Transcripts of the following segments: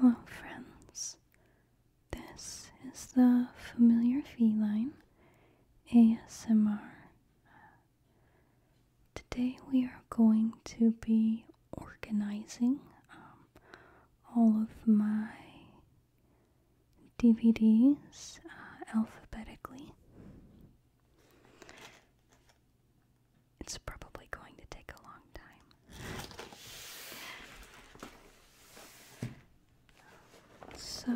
Hello, friends. This is the familiar feline ASMR. Today we are going to be organizing um, all of my DVDs uh, alphabetically. It's probably going to take a long time. So,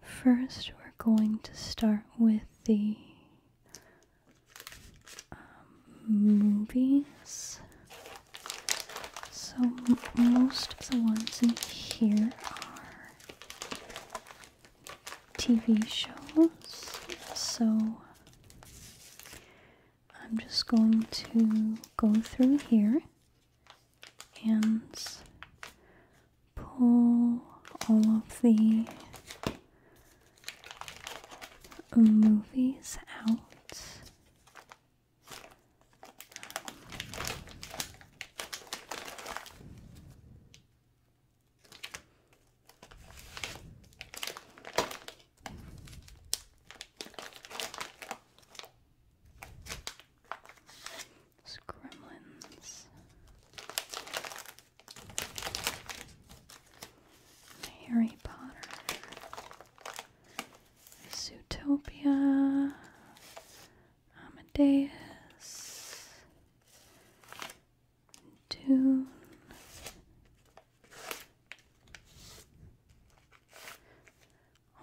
first we're going to start with the um, movies. So most of the ones in here are TV shows. So I'm just going to go through here and pull all of the movies out gremlins. Harry Potter. Zootopia, Amadeus, Dune,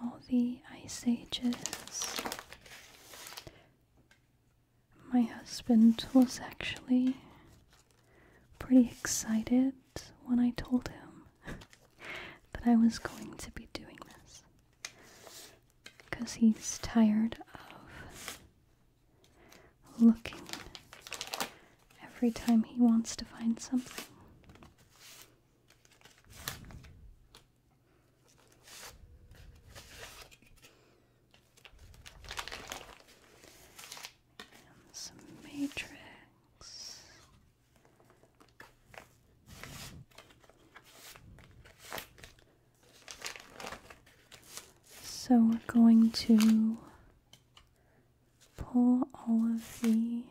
all the Ice Ages. My husband was actually pretty excited when I told him that I was going to be doing this. Because he's tired of looking every time he wants to find something. some matrix. So we're going to pull all of the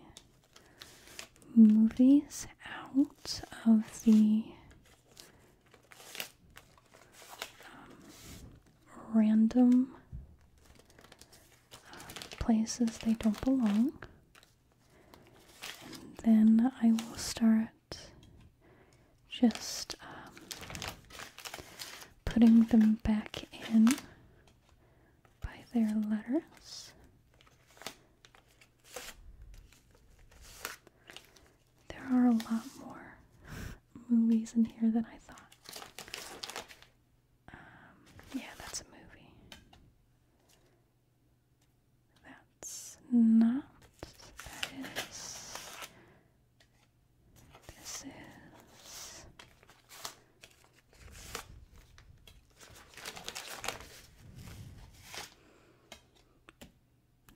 movies out of the um, random places they don't belong. And then I will start just um, putting them back in by their letters. There are a lot more movies in here than I thought. Um, yeah, that's a movie. That's not. That is. This is.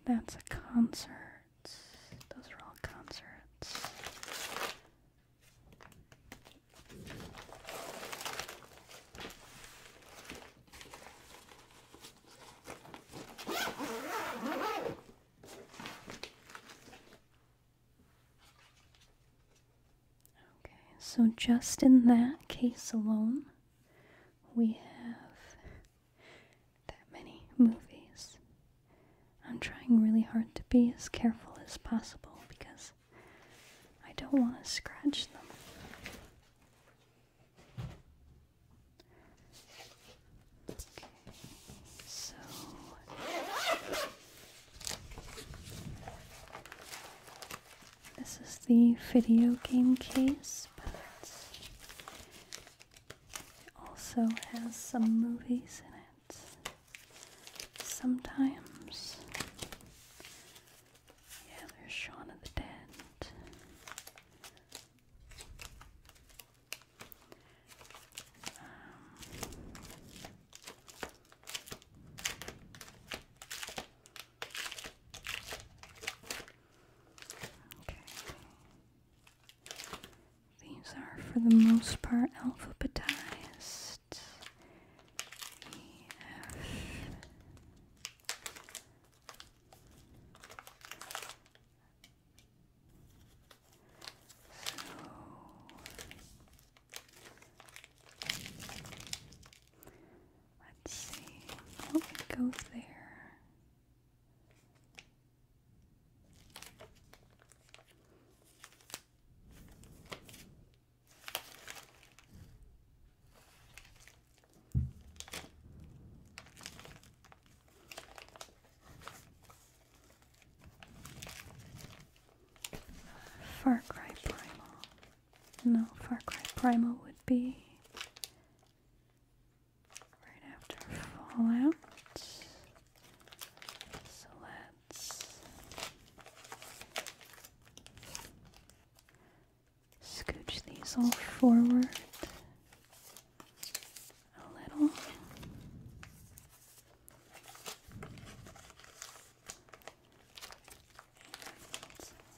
That's a concert. Those are all concerts. Okay, so just in that case alone, we have that many movies. I'm trying really hard to be as careful as possible because I don't want to scratch them. so this is the video game case, but it also has some movies in it sometimes. Yeah, there's Shaun of the Dead. Um, okay. These are for the most part alphabetized let's see. Oh, it go there. Far Cry Primal. No, Far Cry Primal would be right after Fallout. So Scooch these all forward a little.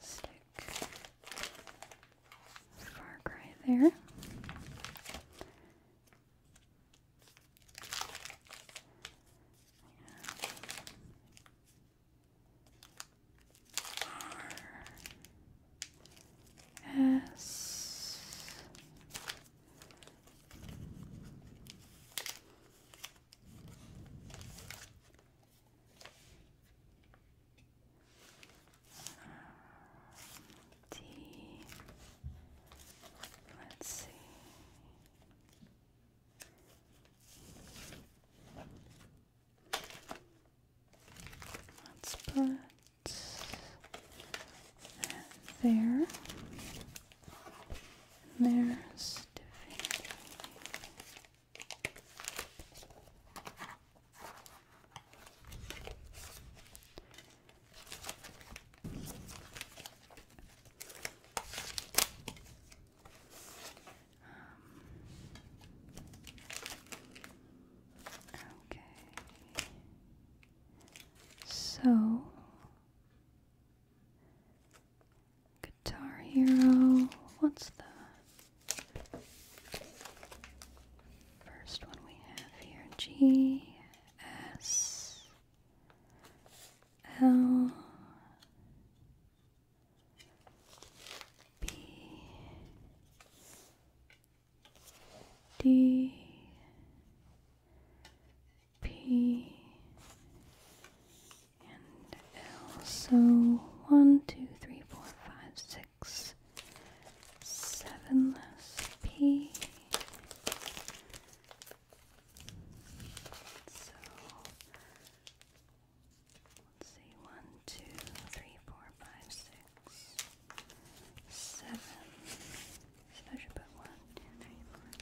stick far cry there. R S T. Let's see. Let's put that there. there's um, okay. So, Guitar Hero, what's the first one we have here? G S L B D P and L. So one, two, three, four, five, six, seven less P so let's see one, two, three, four, five, six, seven. So I should put one, two, three, four, five.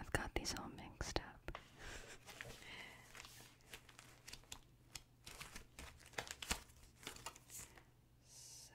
I've got these all mixed up. so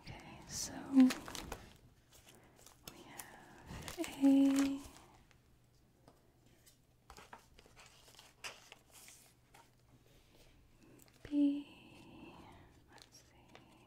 Okay, so we have a B. Let's see.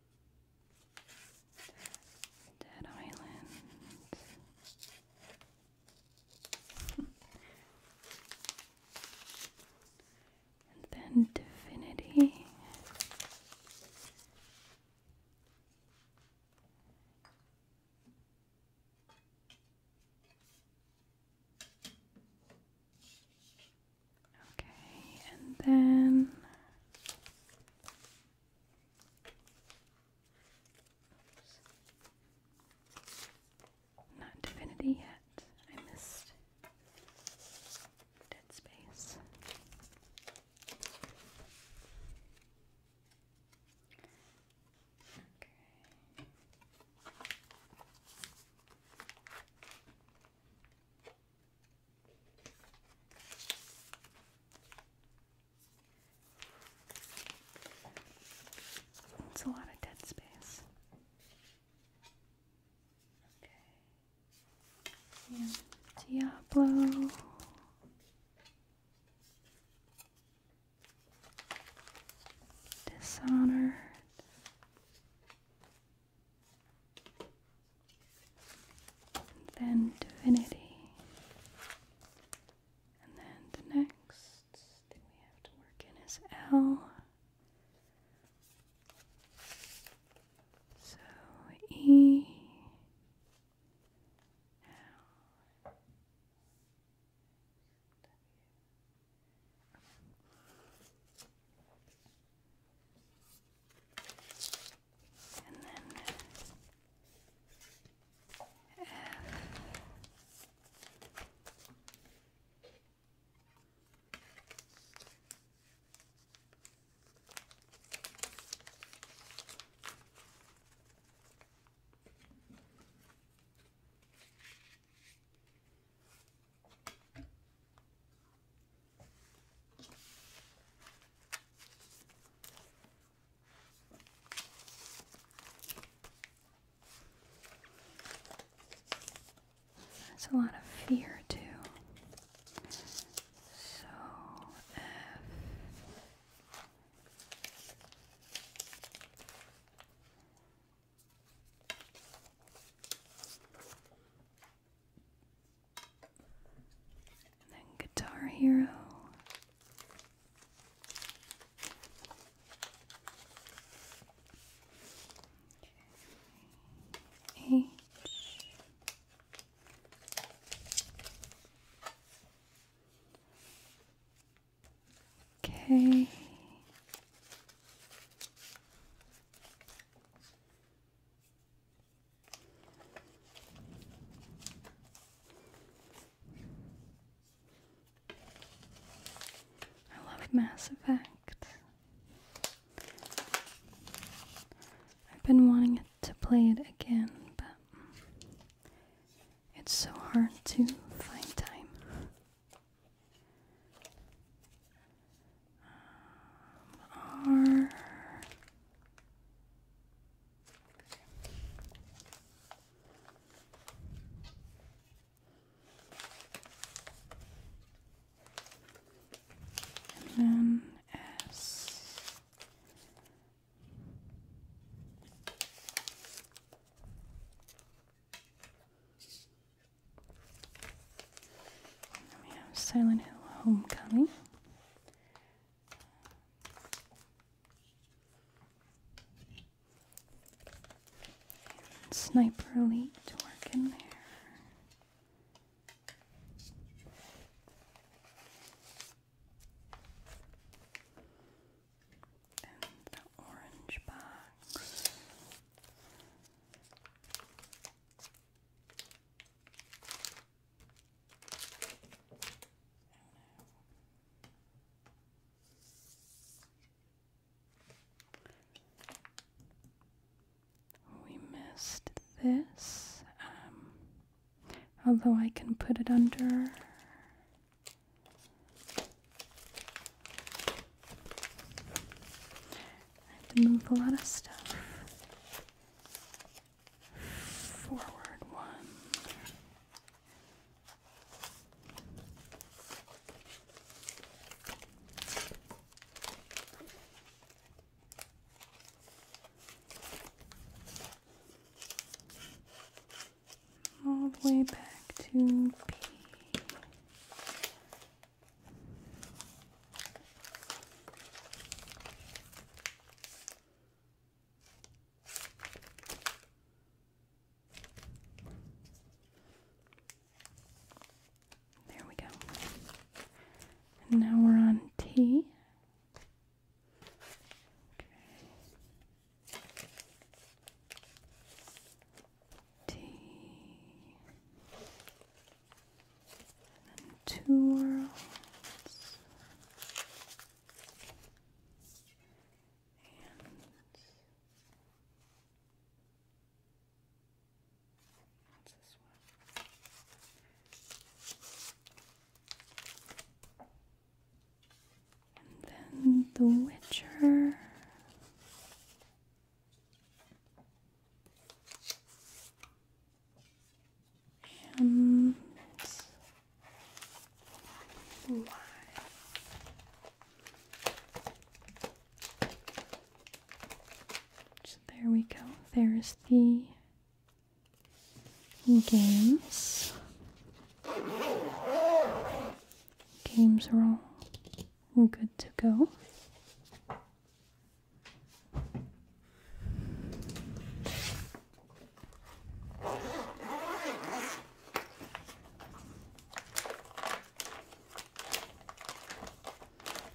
Dead Island. and then Divinity. Okay, and then Oops. Not divinity yet. I missed dead space. Okay. It's a lot of dead space. Diablo. Dishonored and then divinity, and then the next thing we have to work in is L. So E. L and then F. Uh, that's a lot of fear, too. So, F then Guitar Hero. Okay. H. K. I love Mass Effect. I've been wanting to play it again, but it's so hard to find time. Um, R and we have Silent Hill Homecoming sniper elite to work in there. the orange box. We missed this, um, although I can put it under. I have to move a lot of stuff forward one. All the way back to B. There we go. And now we're on T. T. two worlds. And what's this one? And then The Witcher and So there we go. There's the games. Games are all good to go.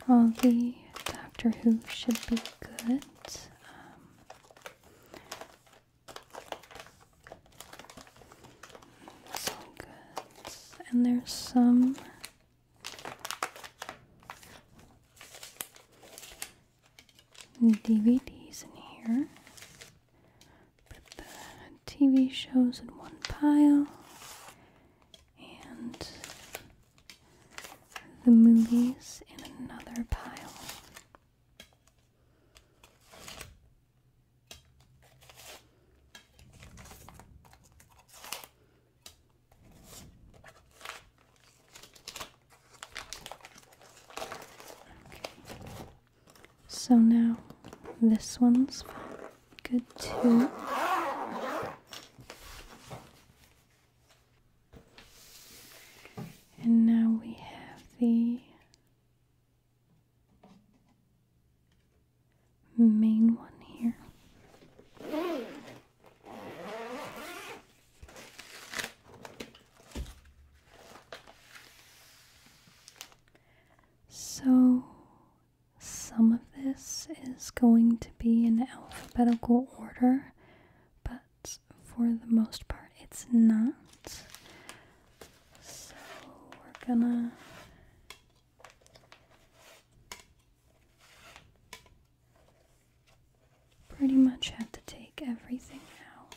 All the Doctor Who should be good. Um, some And there's some DVDs in here. Put the TV shows in one pile and the movies in another pile. So now this one's good too. And now we have the main one here. So, some of this is going to be in alphabetical order, but for the most part, it's not. So, we're gonna. Pretty much have to take everything out.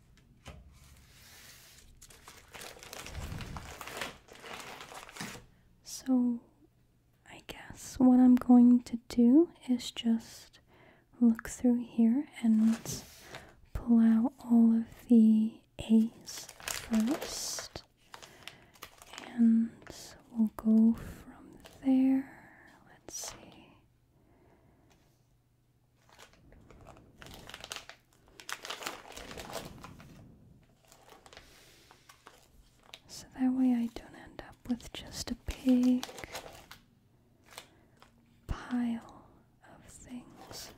So, I guess what I'm going to do is just look through here and pull out all of the A's first. And we'll go from there. Let's see. So that way I don't end up with just a big pile of things.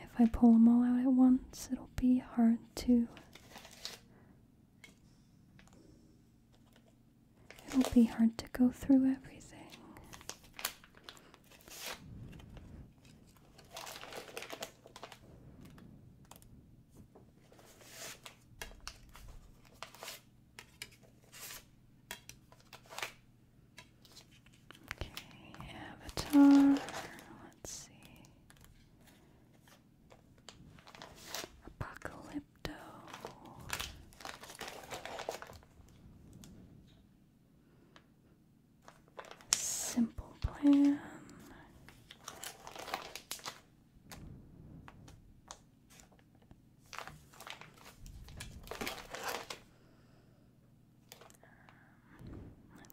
if I pull them all out at once, it'll be hard to. It'll be hard to go through everything. Okay, Avatar. Let's see. Apocalypto. Simple plan.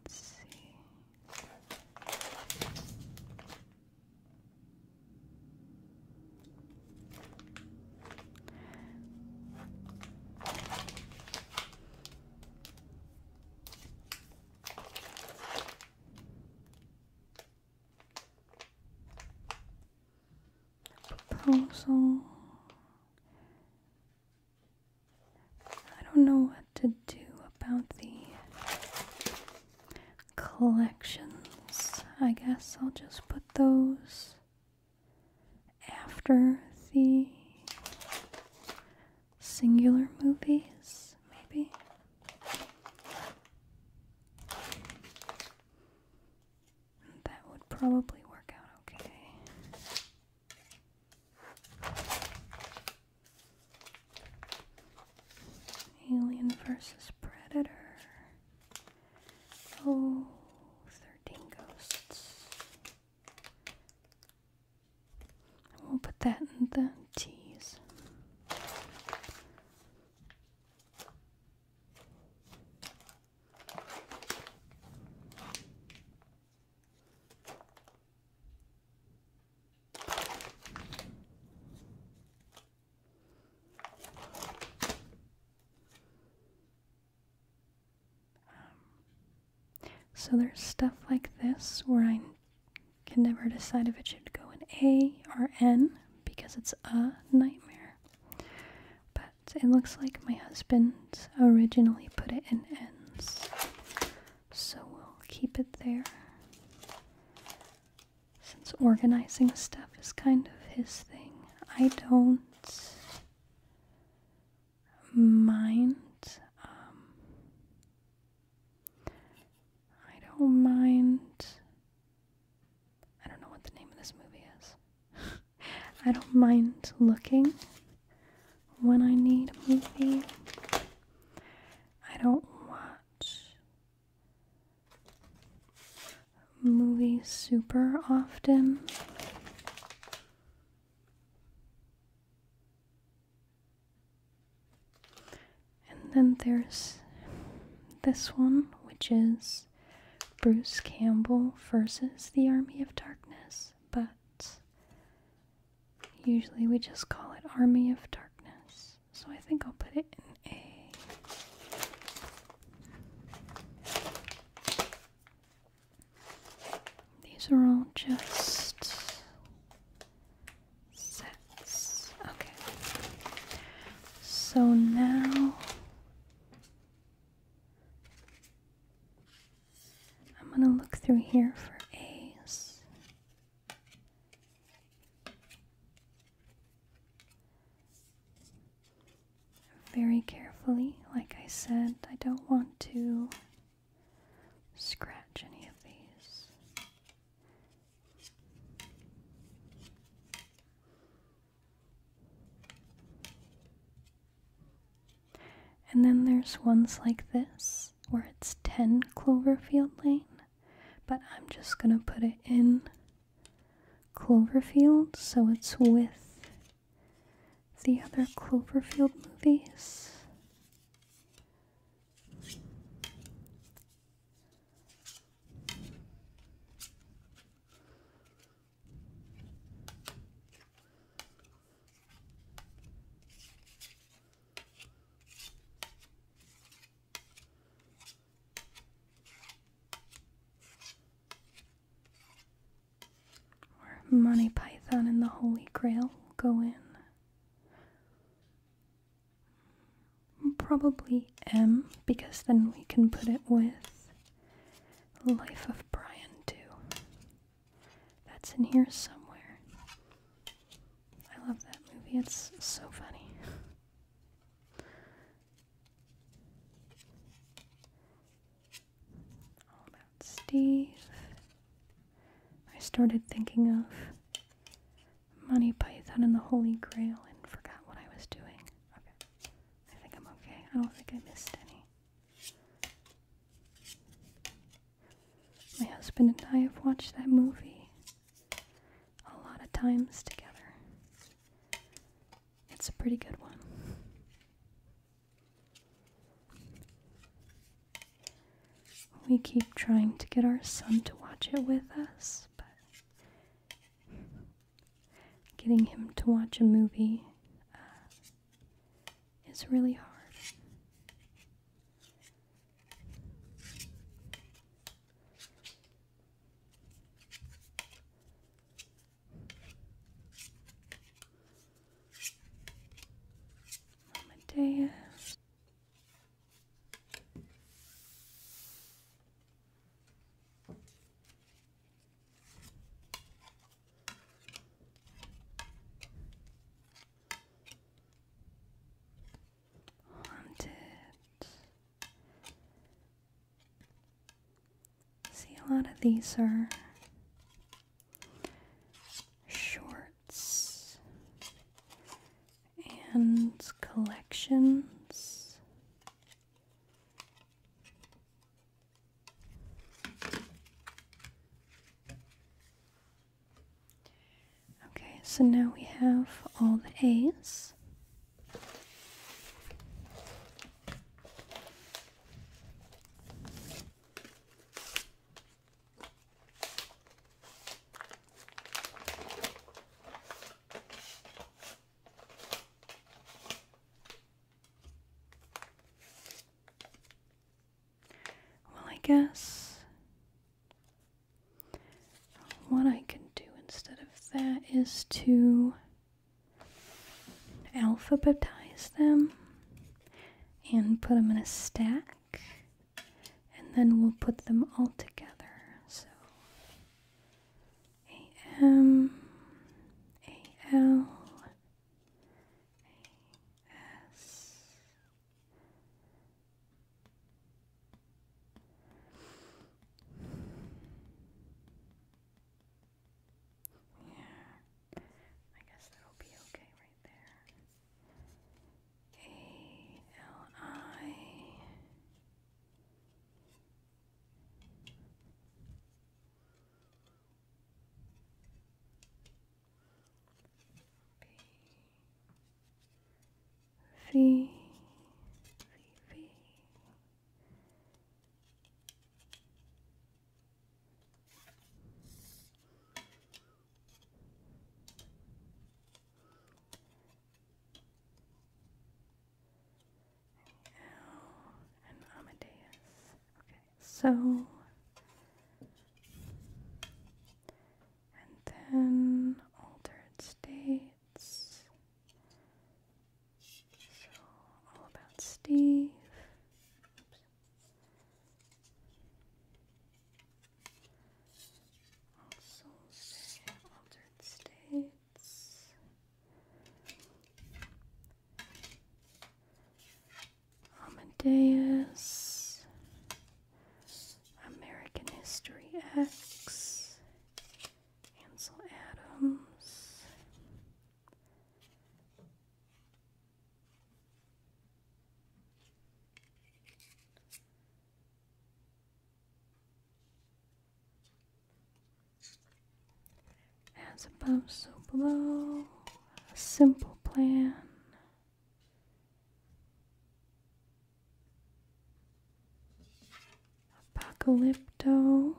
Let's see. Proposal. I don't know what to do about the collections. I guess I'll just put those after the singular movies, maybe. That would probably work out okay. Alien versus Predator. Oh, Ghosts. We'll put that in the teas. Um, so there's stuff like this where I can never decide if it should go in A or N because it's a nightmare. But it looks like my husband originally put it in N's. So we'll keep it there. Since organizing stuff is kind of his thing, I don't mind. Um, I don't mind. I don't know what the name of this movie is. I don't mind looking when I need a movie. I don't watch movies super often. And then there's this one, which is Bruce Campbell versus the Army of Darkness, but usually we just call it Army of Darkness. So I think I'll put it in A. These are all just sets. Okay. So now I'm going to look through here for A's very carefully. Like I said, I don't want to scratch any of these. And then there's ones like this where it's 10 Cloverfield Lane, but I'm just gonna put it in Cloverfield so it's with the other Cloverfield movies. Or Monty Python and the Holy Grail go in. Probably M, because then we can put it with Life of Brian, too. That's in here somewhere. I love that movie, it's so funny. About Steve. I started thinking of Monty Python and the Holy Grail and forgot what I was doing. Okay. I think I'm okay. I don't think I missed any. My husband and I have watched that movie a lot of times together. It's a pretty good one. We keep trying to get our son to watch it with us, but getting him to watch a movie uh, is really hard. Mamadea. Haunted. See, a lot of these are shorts and collections. Okay, so now we have all the A's. Well, I guess what I can do instead of that is to alphabetize them and put them in a stack, and then we'll put them all together. So AM, Yeah. I guess that'll be okay right there. A L I B V V V and Amadeus. Okay, so and then altered states. So all about Steve altered states. Amadeus, American History X, Ansel Adams, as above, so below. A simple plan. Apocalypto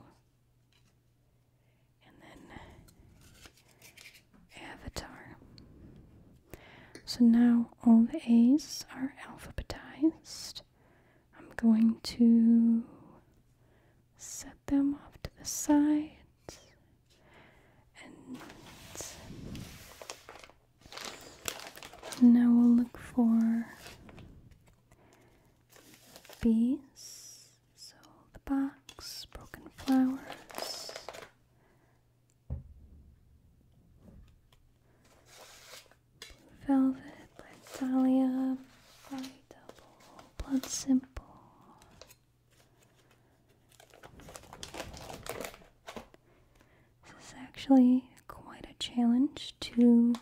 and then avatar. So now all the A's are alphabetized. I'm going to set them off to the side and now we'll look for bees. So the box, broken flowers, Velvet, Black Dahlia, Blood Simple. This is actually quite a challenge to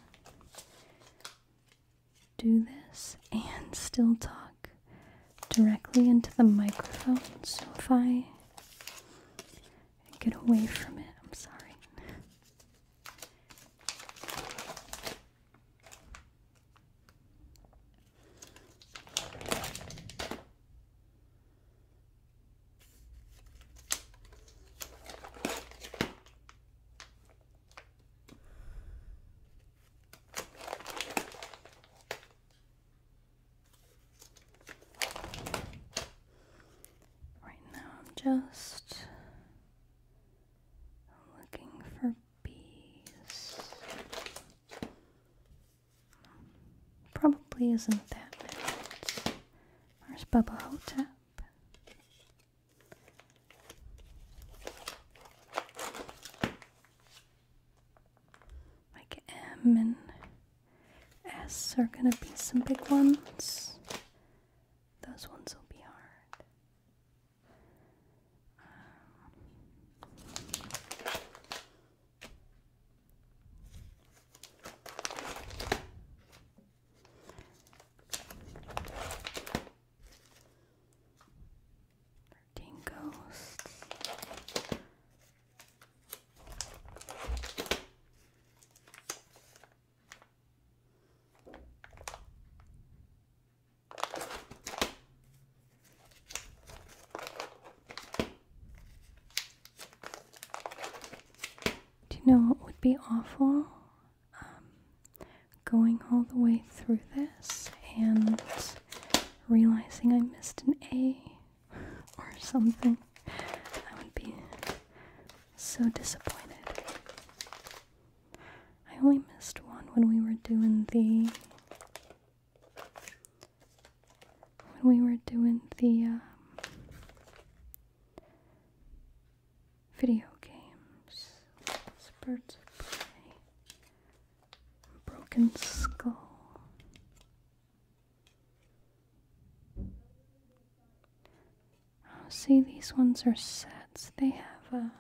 do this and still talk directly into the microphone. So if I get away from it, I'm sorry. Right now, I'm just looking for bees. Probably isn't that many. Where's Bubba Hotep? Like M and S are gonna be some big ones. Those ones will be hard. Do you know what would be awful? Um, going all the way through this and realizing I missed an A or something. I would be so disappointed. I only missed one when we were doing the when we were doing the um, video games, Spurts of Prey. Broken skull. Oh, see, these ones are sets. They have a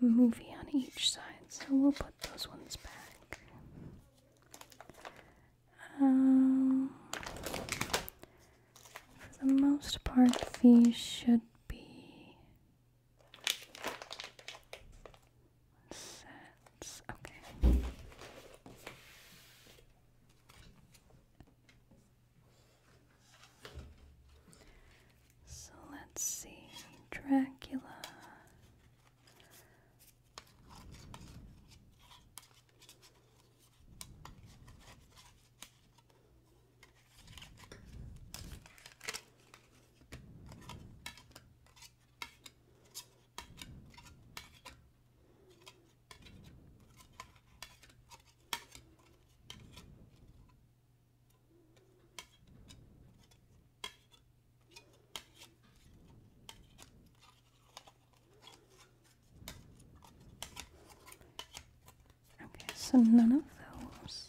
movie on each side, so we'll put those ones back. Um, for the most part, these should be Okay. So let's see. Dracula. Okay, so none of those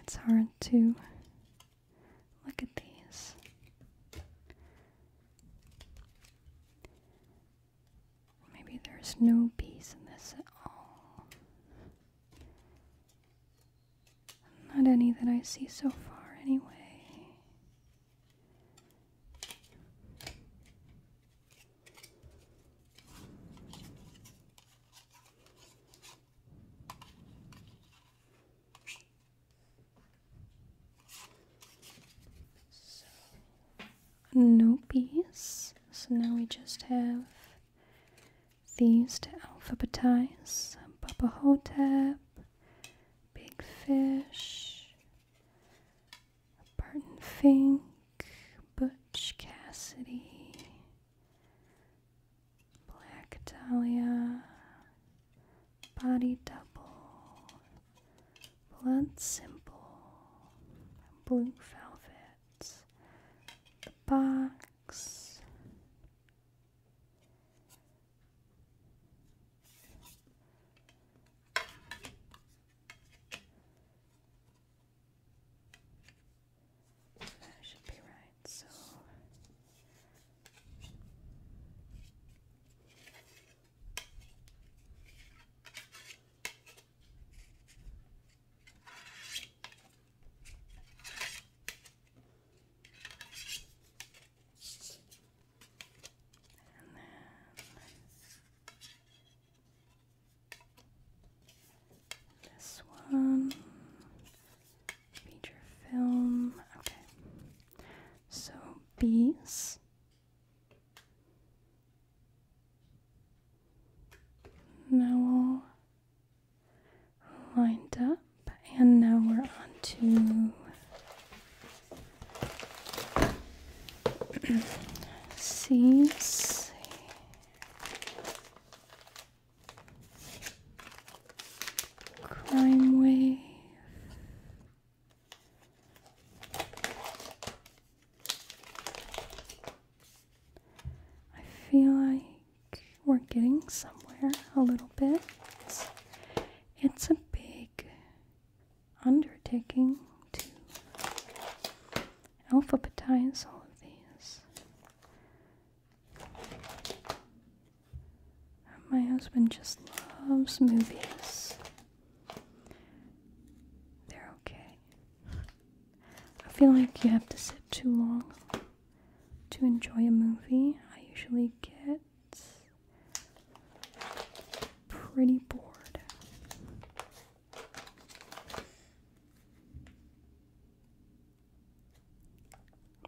it's hard to look at these. Maybe there's no bees in this at all. Not any that I see so far, anyway. no piece. So now we just have these to alphabetize Baba Hotep, Big Fish, Barton Fink, Butch Cassidy, Black Dahlia, Body Double, Blood Simple, Blue Velvet, The Box relax. That should be right, so Okay this one feature film. Okay. So bees. No lined up, and now we're on to C. C. Crime wave. I feel like we're getting somewhere a little bit. It's a big undertaking to alphabetize all of these. My husband just loves movies. They're okay. I feel like you have to sit too long to enjoy a movie, I usually get pretty bored.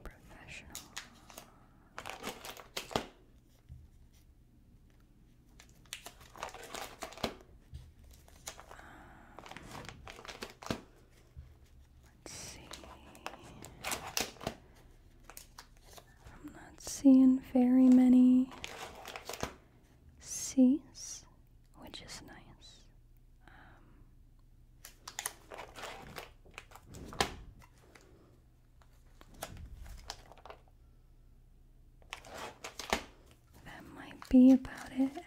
Professional. Let's see. I'm not seeing very many C's, which is nice. Um, that might be about it, actually.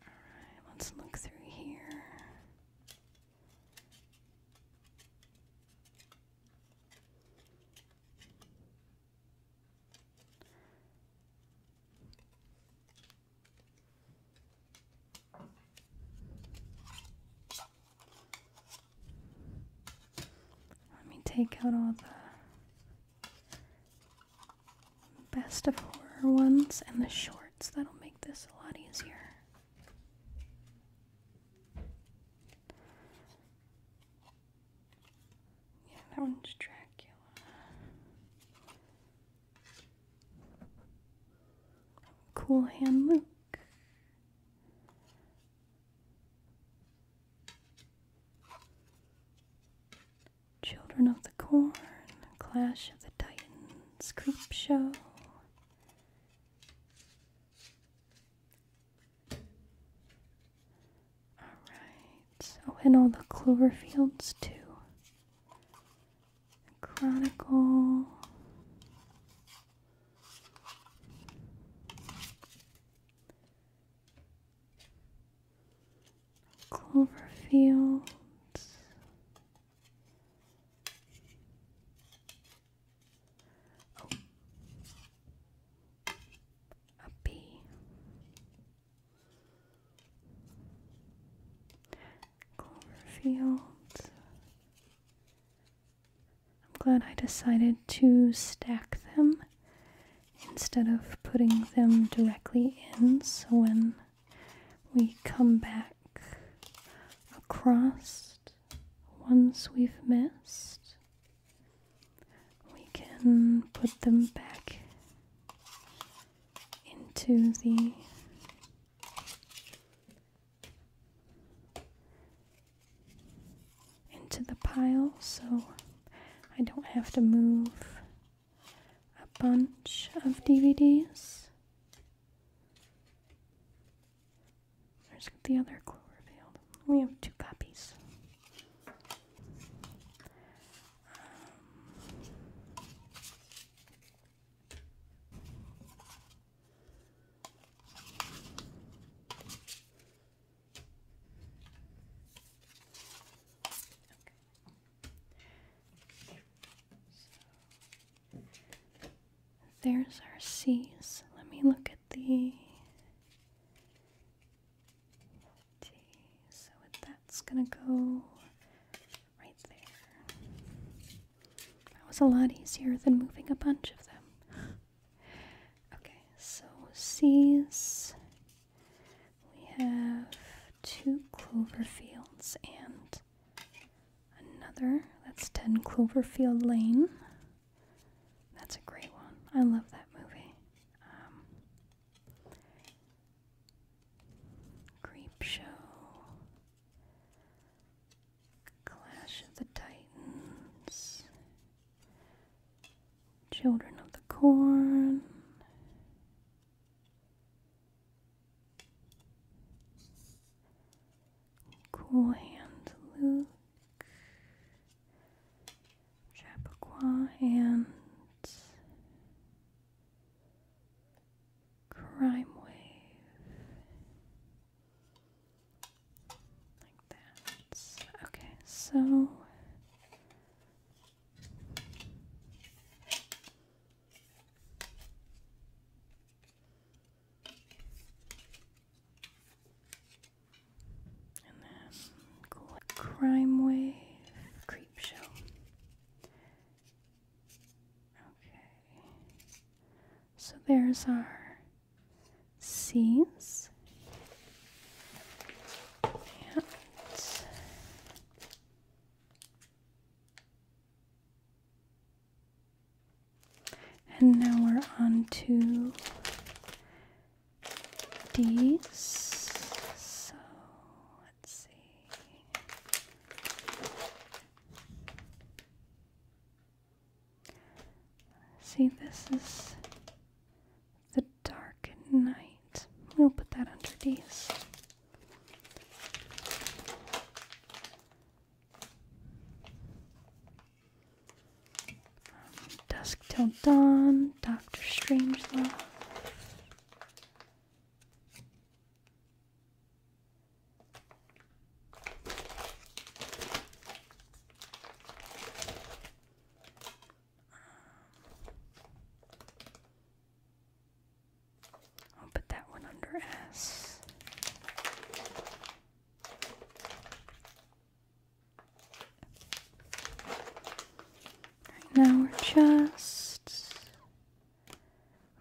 Alright, let's look through here. Let me take out all the best of horror ones and the shorts. That'll make this a lot easier. Yeah, that one's Dracula. Cool hand Luke. Children of the Corn, Clash of the Titans, Creep Show. Alright, oh, and all the Cloverfields too. Chronicle clover fields, oh, a clover fields. I'm glad I decided to stack them instead of putting them directly in so when we come back across Once we've missed. We can put them back into the into the pile so I don't have to move a bunch of DVDs. There's the other clue revealed. We have two copies. Um, there's our C's. Let me look at the So that's gonna go right there. That was a lot easier than moving a bunch of them. okay, so C's we have two clover fields and another. That's 10 Cloverfield Lane. That's a great one. I love that movie. Um, Clash of the Titans. Children of the Corn. Cool Hand Luke, Chappaqua, and Crime Wave. Like that. Okay, so and then crime wave, creep show. Okay. So there's our scenes. And and now we're on to D's. So let's see. See, this is the dark night. We'll put that under D's. Dusk Till Dawn, Doctor Strangelove. I'll put that one under S. Right now we're just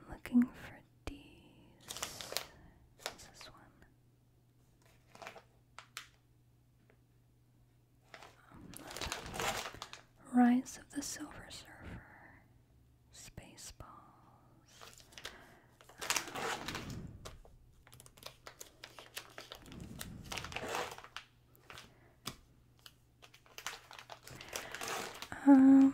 looking for these. What's this one? Rise of the Silver Surfer. Spaceballs. Um,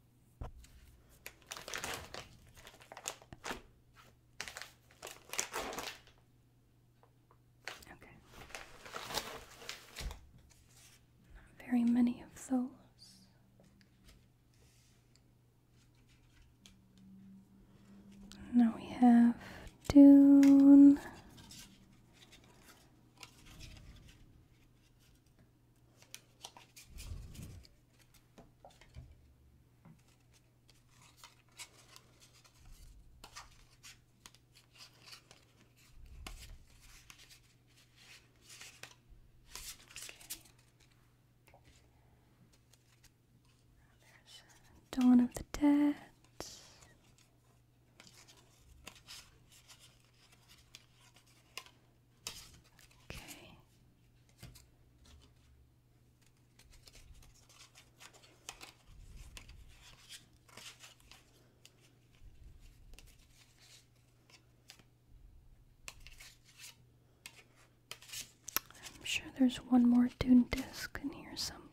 Okay. Not very many of those. Now we have Dune. Dawn of the Dead. I'm sure there's one more Dune disc in here someplace.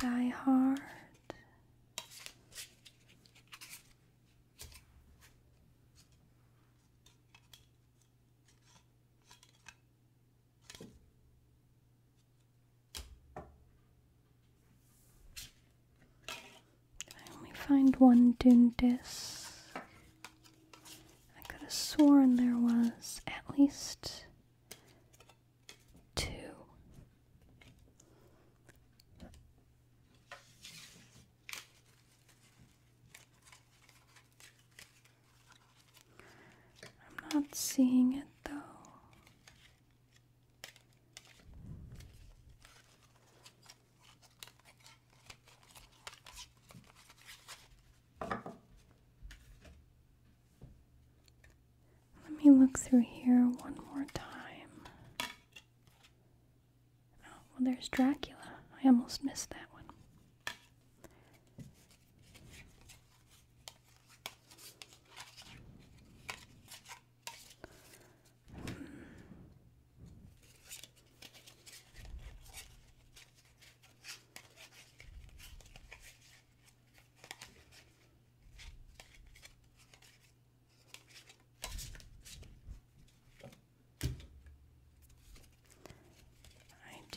Die Hard. I only find one Dune I could have sworn there was at least two. I'm not seeing it though. Let me look through here one more time. Oh, well, there's Dracula. I almost missed that one.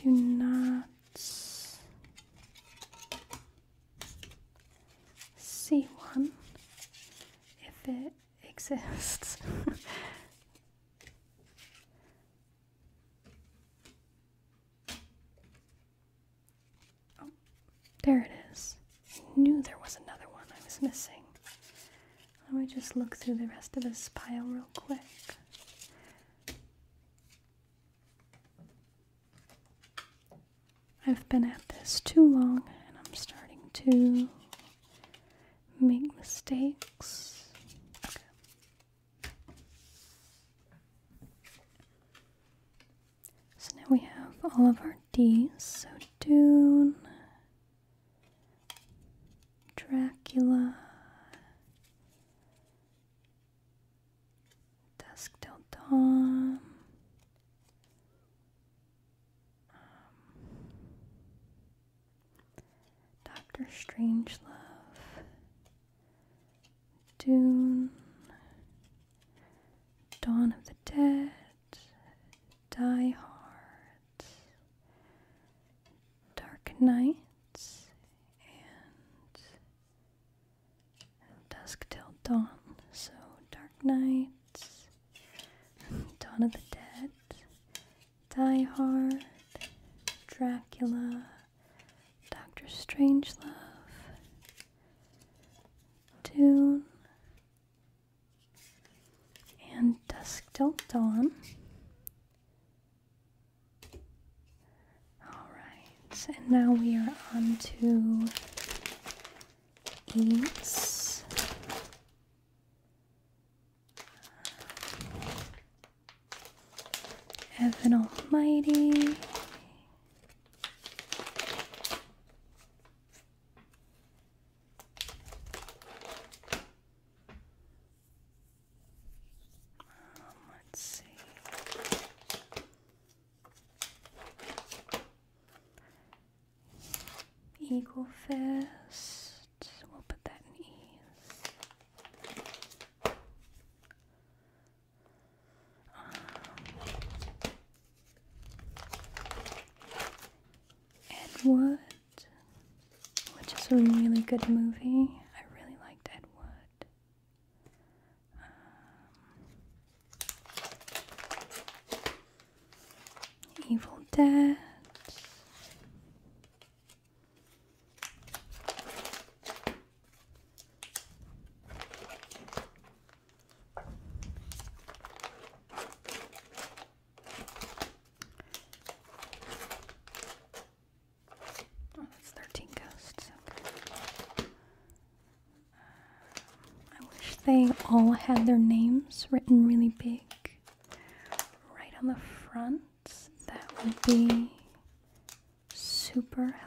I do not it's C1 if it exists. oh, there it is. I knew there was another one I was missing. Let me just look through the rest of this pile real quick. I've been at this too long and I'm starting to make mistakes. So now we have all of our D's. So Dune, Dracula, Dusk Till Dawn. Um, Doctor Strangelove, Dune, Dawn of the Dead, Die Hard, Dark Nights, and dusk till dawn. So Dark nights. Dawn of the Dead, Die Hard, Dracula, Doctor Strangelove, Dune, and Dusk Till Dawn. Alright, and now we are on to eats. Heaven Almighty. Um, let's see. Eagle fist. We'll put that in Ed Wood, which is a really good movie. I really liked Ed Wood. Um, Evil Dead. Oh, that's 13 ghosts. Um, I wish they all had their names written really big right on the front. That would be super helpful.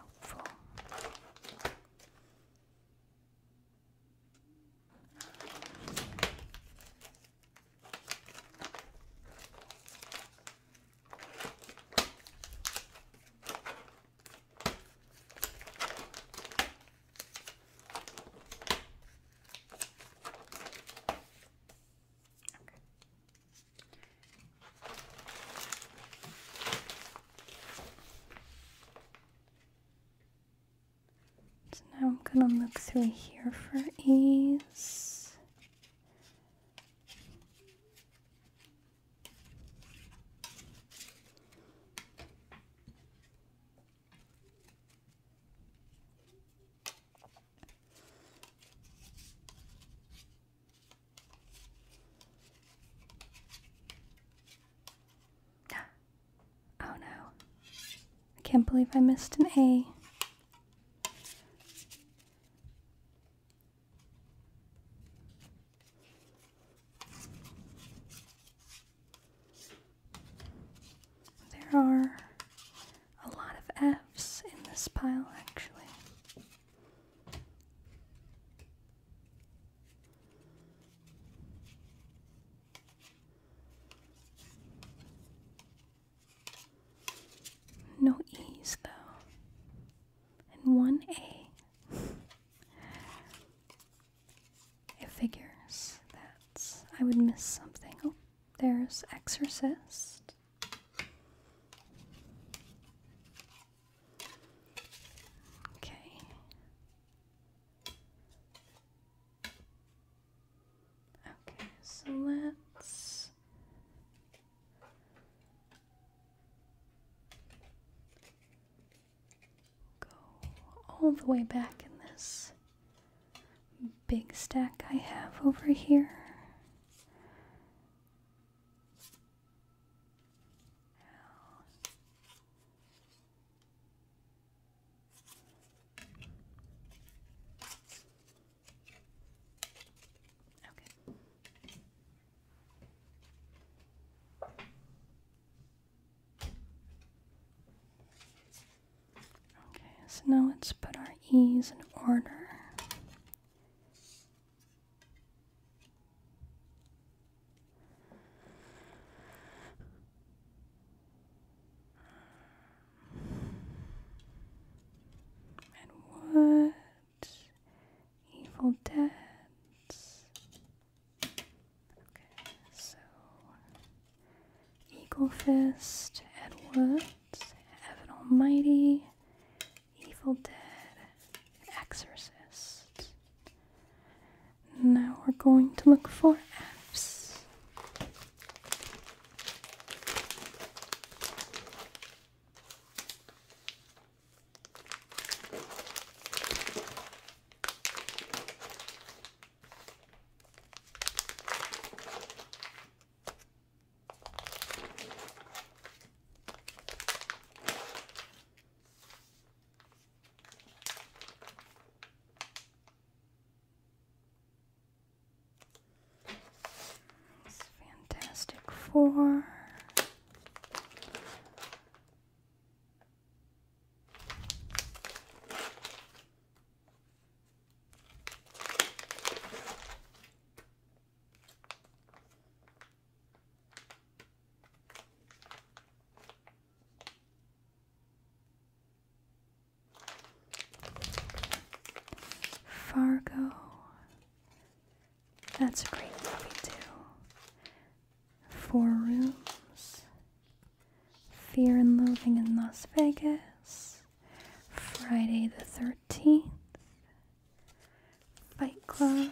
So now I'm going to look through here for ease. Oh no. I can't believe I missed an A. There are a lot of F's in this pile, actually. No E's, though and one A. it figures that I would miss something. Oh, there's Exorcist. Okay. Okay, so let's Go all the way back in this big stack I have over here. Okay. Okay, so now let's put our E's in order. And Evil Dead. Okay, so Eagle Fist, Ed Woods, Evan Almighty, Evil Dead, Exorcist. Now we're going to look for F's. Fantastic Four. Fargo that's a great movie, too. Four Rooms, Fear and Loathing in Las Vegas, Friday the 13th, Fight Club.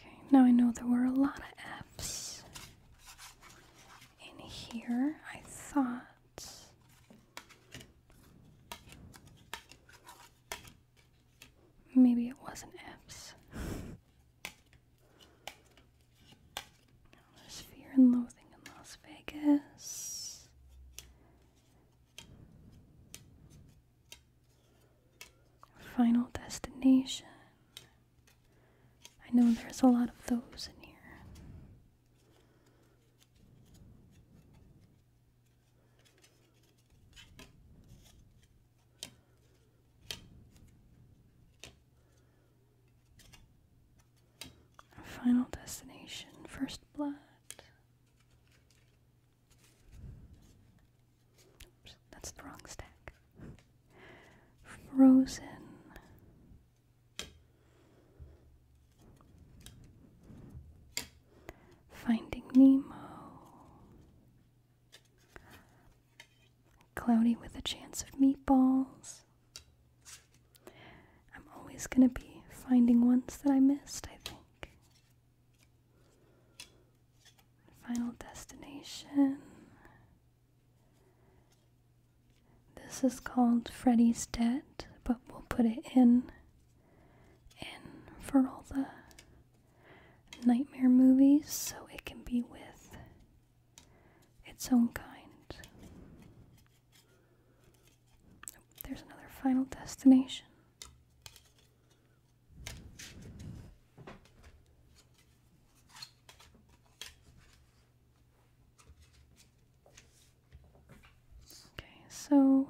Okay, now I know there were a lot of apps in here. I thought Maybe it wasn't F's. There's fear and loathing in Las Vegas. Final destination. I know there's a lot of those in here. Final destination, first blood. Oops, that's the wrong stack. Frozen. Finding Nemo, Cloudy with a Chance of Meatballs. I'm always going to be finding ones that I missed, I think. Final Destination. This is called Freddy's Dead, but we'll put it in in for all the nightmare movies, so it can be with its own kind. there's another final destination. Okay, so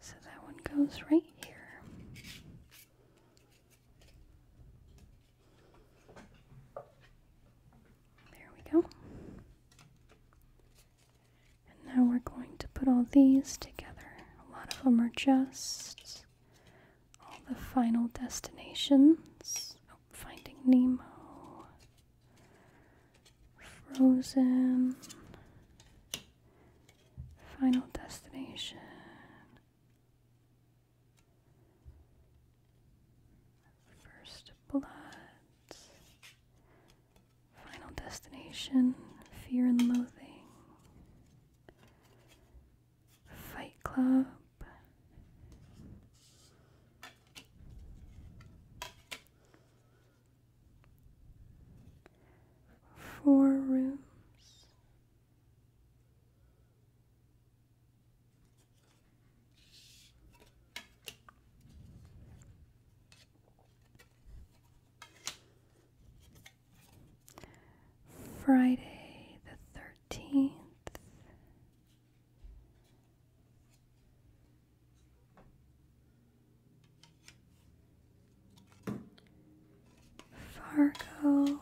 so that one goes right here. There we go. And now we're going to put all these together. A lot of them are just all the final destinations. Oh, Finding Nemo, Frozen, Final Destination. First Blood, Final Destination, Fear and Loathing, Fight Club, Four Rooms. Friday the 13th. Fargo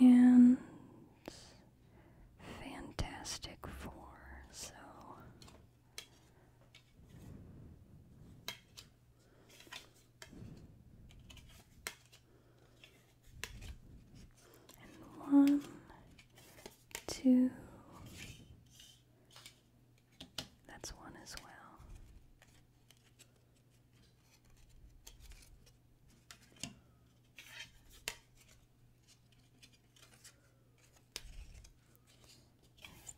and Fantastic Four, so and one, two, that's one as well.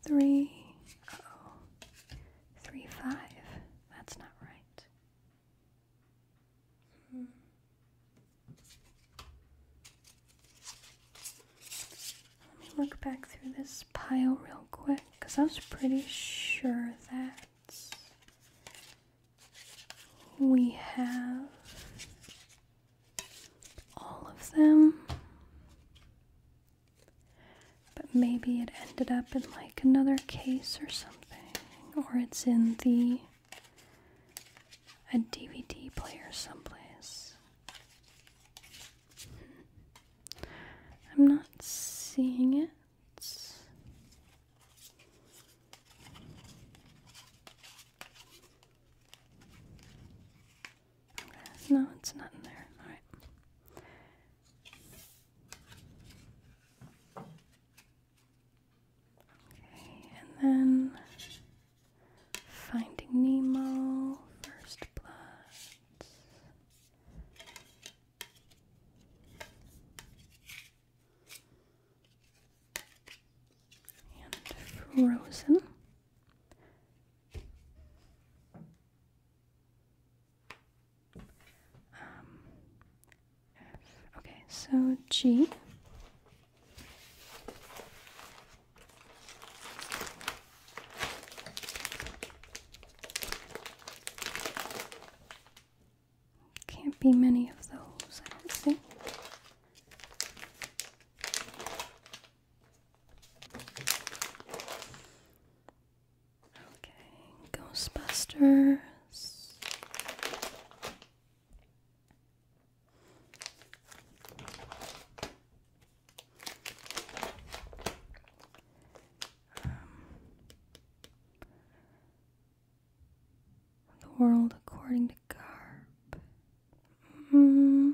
Three, oh, three, five. That's not right. Hmm. Let me look back through this pile real quick because I was pretty sure that we have all of them. But maybe it ended up in like another case or something. Or it's in the a DVD player someplace. I'm not seeing it. No, it's not in there. All right. Okay, and then Finding Nemo, First Blood and frozen. Um, okay, so G. Can't be many of those, I don't think. Okay, Ghostbusters. Um, the world according to Garb. Mm-hmm.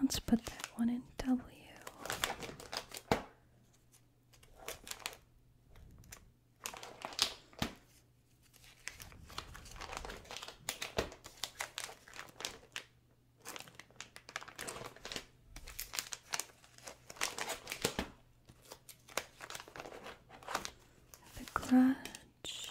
let's put that one in W. The grudge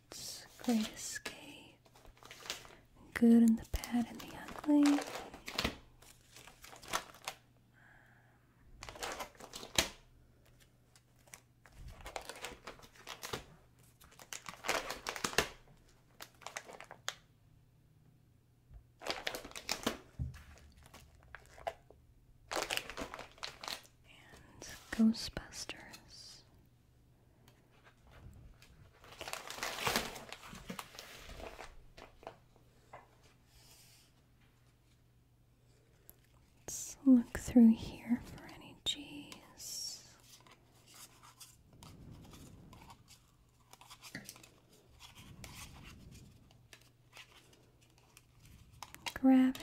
Great Escape, Good and the Bad and the Ugly. and Ghostbusters. Let's look through here for any G's. Gravity.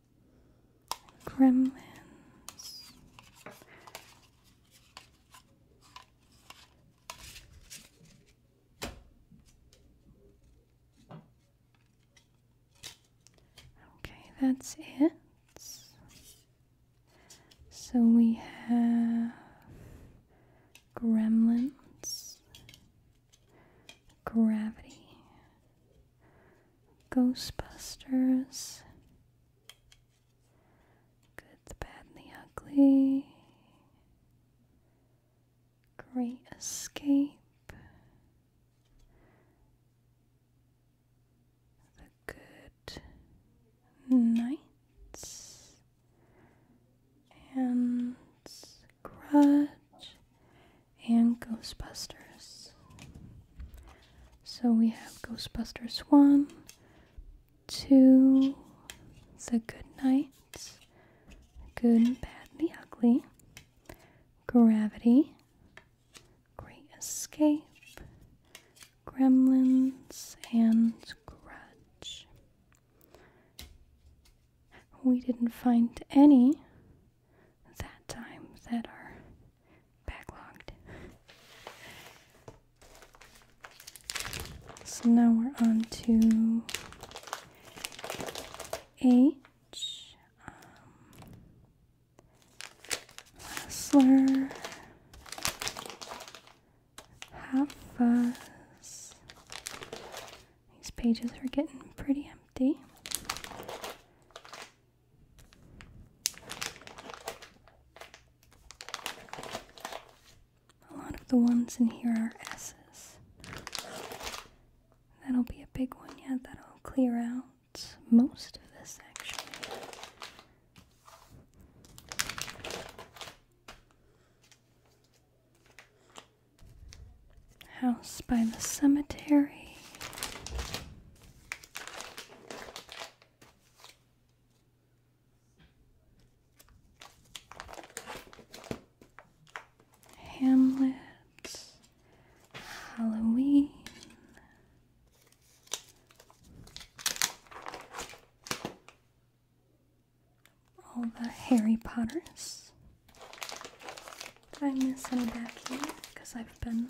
Gremlins. Okay, that's it. So we have Gremlins, Gravity, Ghostbusters. Good, the bad, and the ugly. Great Escape. The Good Nights. And Grudge and Ghostbusters. So we have Ghostbusters 1, 2, The Good Night, Good, and Bad, the Ugly, Gravity, Great Escape, Gremlins, and Grudge. We didn't find any that time that are backlogged. So now we're on to H. Um, Lessler. Hafas. These pages are getting pretty empty. A lot of the ones in here are S's. That'll be a big one, yeah, that'll clear out most of this actually. House by the cemetery. Hamlet. Halloween. All the Harry Potters. Did I miss any back here? Because I've been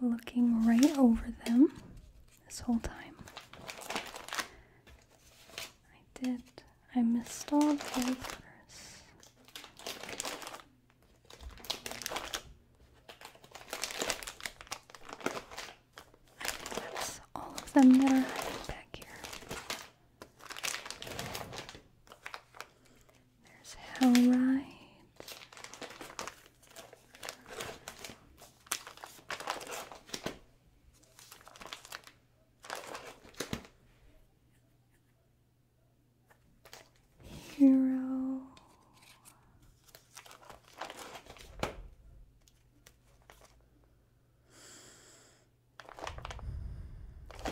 looking right over them this whole time. I did. I missed all the Harry I think all of them that are hiding back here. There's Hellride. Hero. I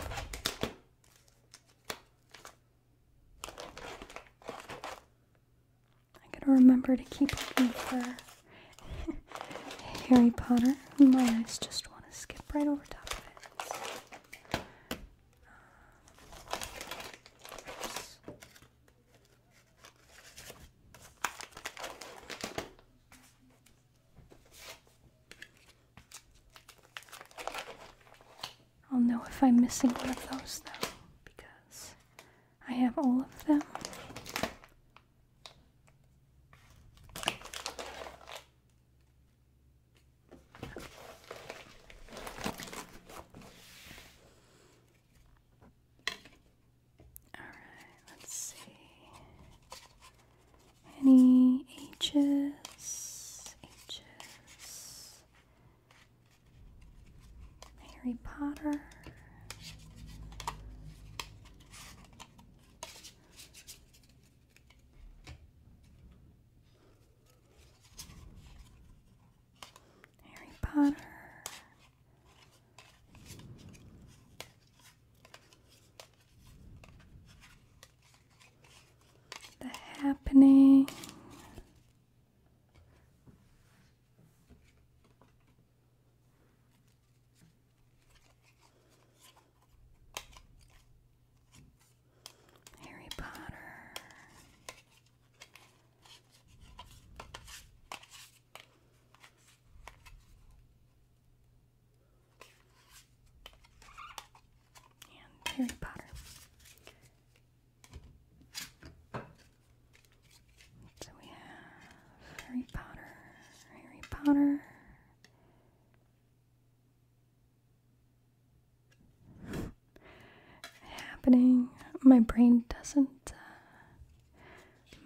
gotta remember to keep looking for Harry Potter. My eyes just want to skip right over top of it. I'll know if I'm missing one of those though, because I have all of them. All right, let's see any H's, H's, Harry Potter. Harry Potter. The happening. Harry Potter and Harry Potter. So we have Harry Potter, Harry Potter. Happening. My brain doesn't. Uh,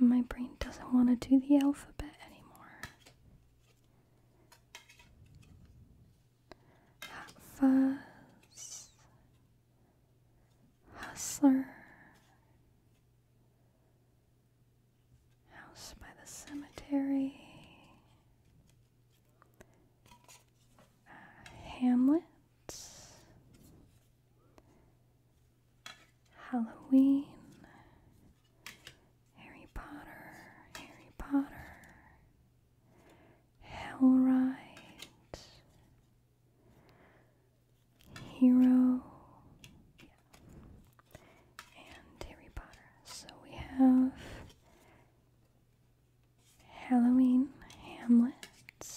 my brain doesn't want to do the alphabet anymore. Hot Hustler, House by the Cemetery, uh, Hamlet, Halloween, Harry Potter, Harry Potter, Hellride, Hero, and Harry Potter. So we have Halloween, Hamlet, and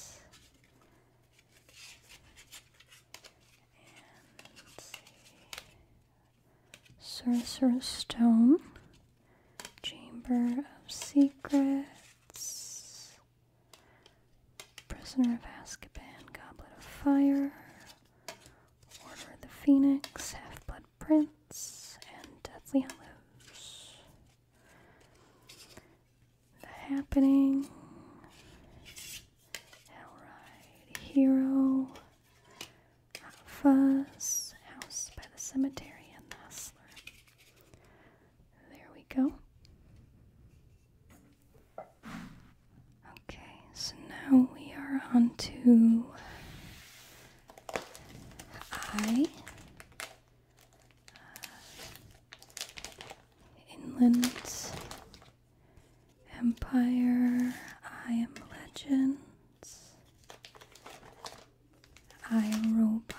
let's see. Sorcerer's Stone, Chamber of Secrets, Prisoner of Azkaban, Goblet of Fire, Order of the Phoenix, Half Blood Prince, and Deathly Hallows. The Happening, Hellride Hero of house by the cemetery in the hustler. There we go. Okay, so now we are onto I. Uh, inland Empire, I am legend. I robots.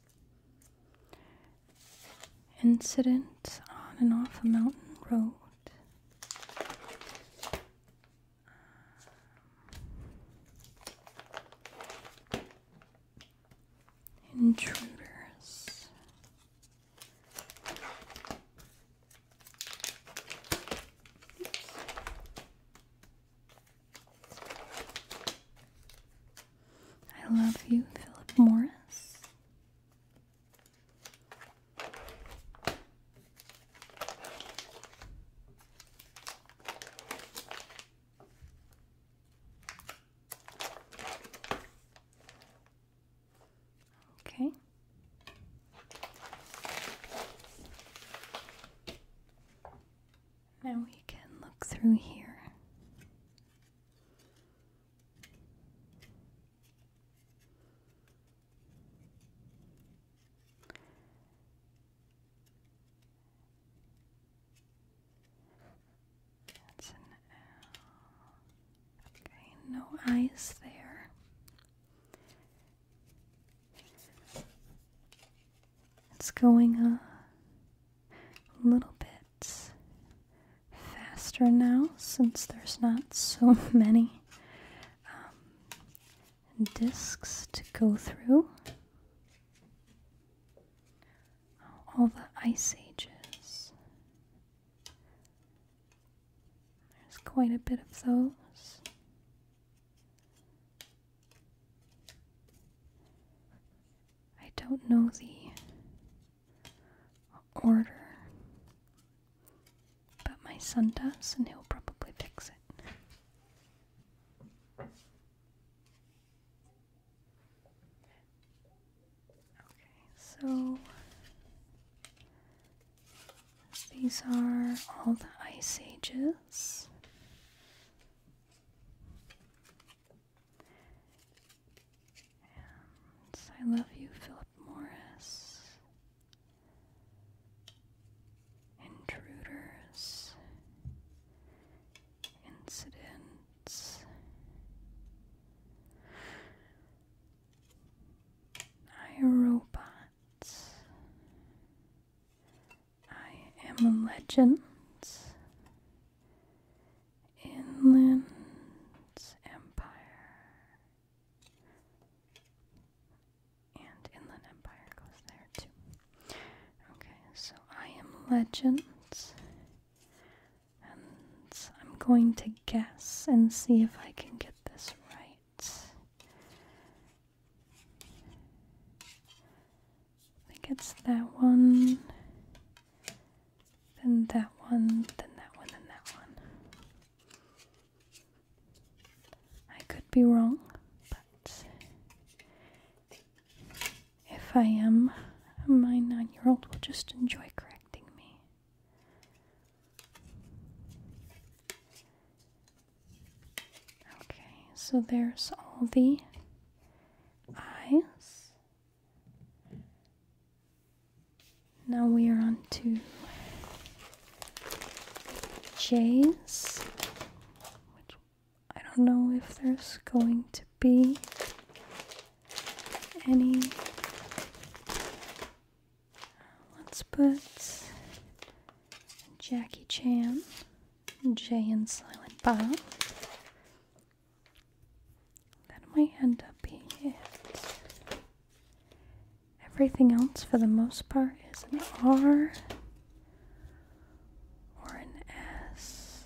Incident on and off a mountain road. Intruders. I love you, Philip Morris. Okay. Now we can look through here. That's an L. Okay, no eyes there. It's going a little bit bit faster now since there's not so many um, discs to go through. All the ice ages. There's quite a bit of those. I don't know the order. But my son does, and he'll probably fix it. Okay, so these are all the ice ages. I love you, Philip Morris. Intruders. Incidents. I robot. I am a legend. Inland Empire. And Inland Empire goes there too. Okay, so I am Legend. And I'm going to guess and see if I can get this right. I think it's that one then that one, then that one, then that one. I could be wrong, but if I am, my nine year old will just enjoy correcting me. Okay, so there's all the eyes. Now we are on to J's, which I don't know if there's going to be any. Let's put Jackie Chan, Jay and Silent Bob. That might end up being it. Everything else, for the most part, is an R or an S.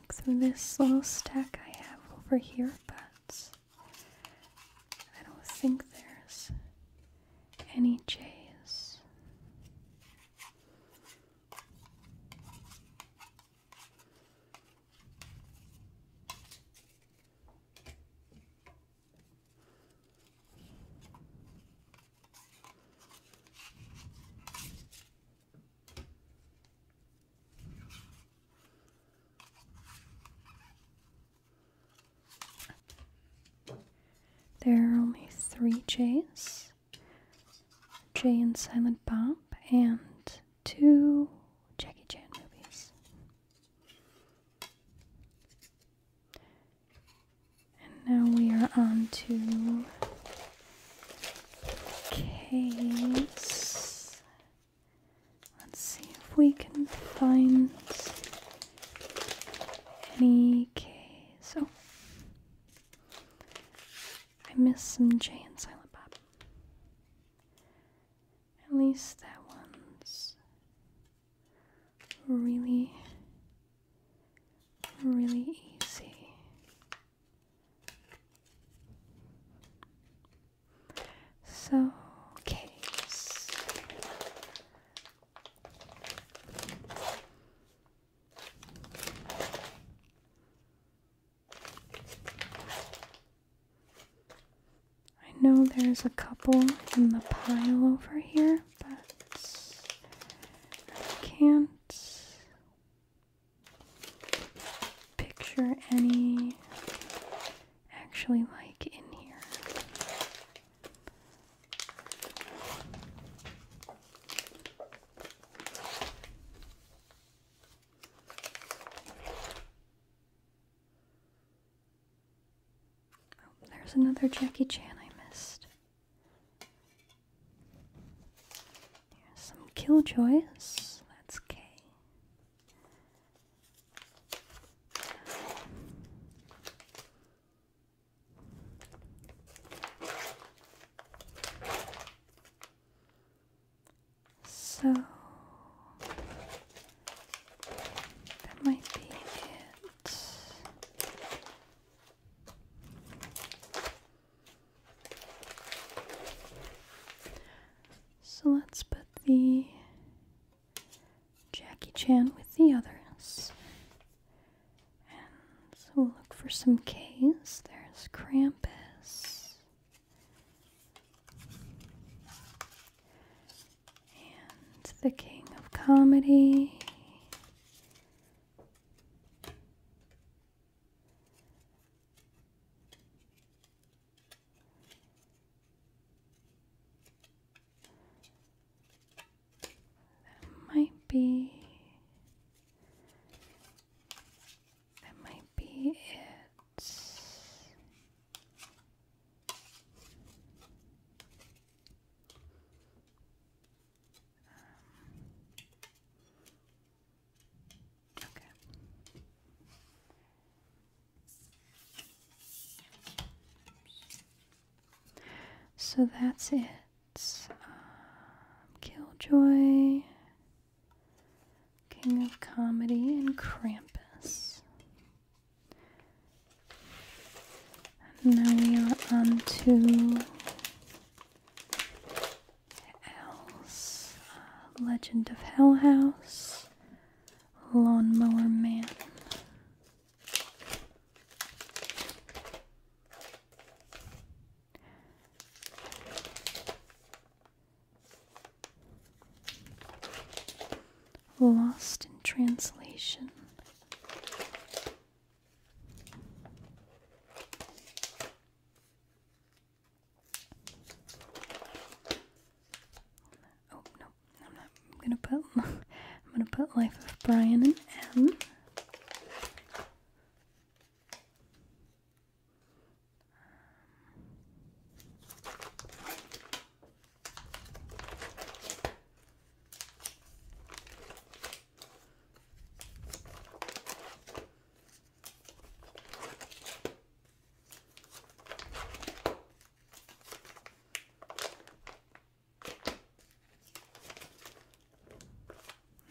Look through this little stack I have over here, but I don't think there's any J's. There are only three J's Jay and Silent Bob, and two Jackie Chan movies. And now we are on to case. Let's see if we can find any case. Oh. I missed some J and Silent Bob. At least that one's really, really easy. So, case. I know there's a couple in the pile over here, but I can't picture any actually like in here. Oh, there's another Jackie Chan I missed. Here's some Killjoys. That's K. So that might be it. So let's put the Jackie Chan with the others. And so we'll look for some K's. There's Krampus. And the King of Comedy. That might be. That might be it. Um, okay. So that's it. Um, Killjoy, King of Comedy, and Krampus. now we are on to uh, Legend of Hell House, Lawnmower Man. Lost in Translation. Oh, nope. I'm gonna put I'm gonna put Life of Brian and M.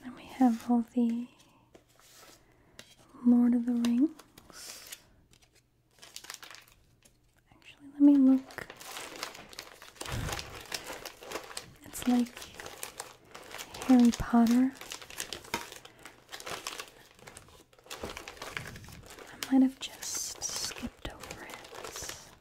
Then we have all the Lord of the Rings. Actually, let me look. It's like Harry Potter. I might have just skipped over it. Everything's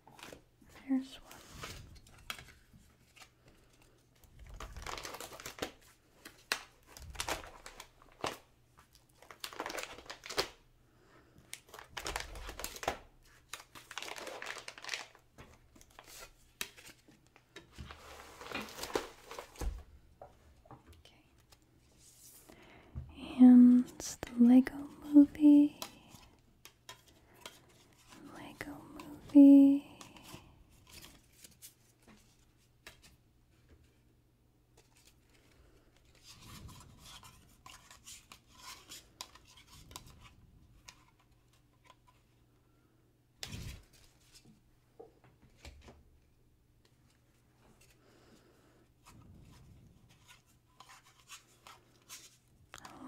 Okay. There's one. And the Lego movie. Lego movie.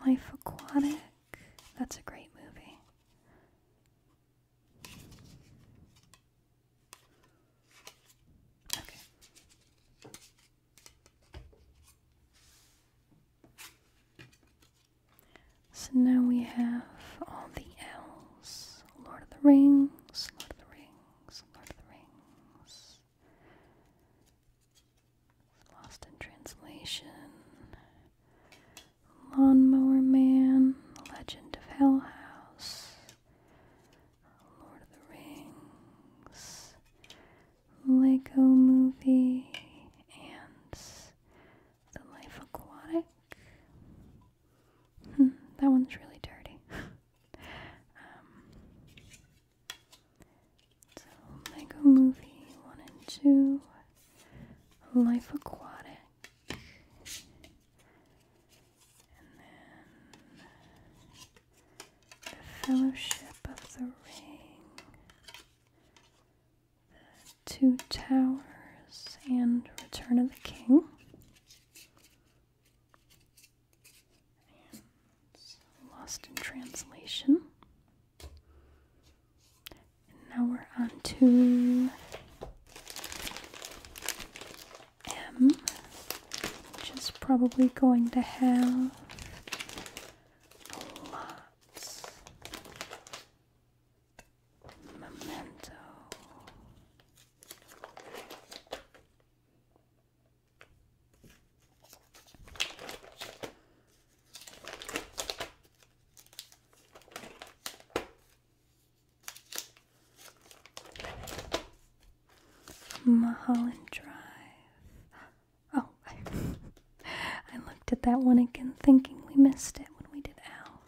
Life Aquatic. That's a great movie. Okay. So now we have all the L's. Lord of the Rings, Lord of the Rings, Lord of the Rings. Lost in Translation. Lawnmower Man, Legend of Hell House, Lord of the Rings, Lego Movie, and The Life Aquatic. Hmm, that one's really dirty. Um, so, Lego Movie 1 and 2, Life Aquatic. The Fellowship of the Ring. The Two Towers and Return of the King. Lost in Translation. And now we're on to M, which is probably going to have lots. Memento. Mulholland Drive. Oh, I, I looked at that one again thinking we missed it when we did Al.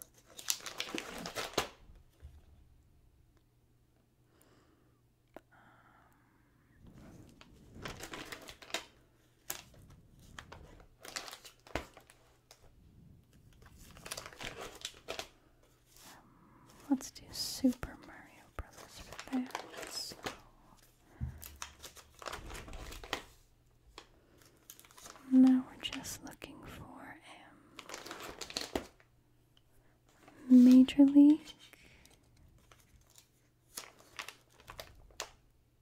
Um, let's do Super Mario Brothers for that. Now we're just looking for um, Major League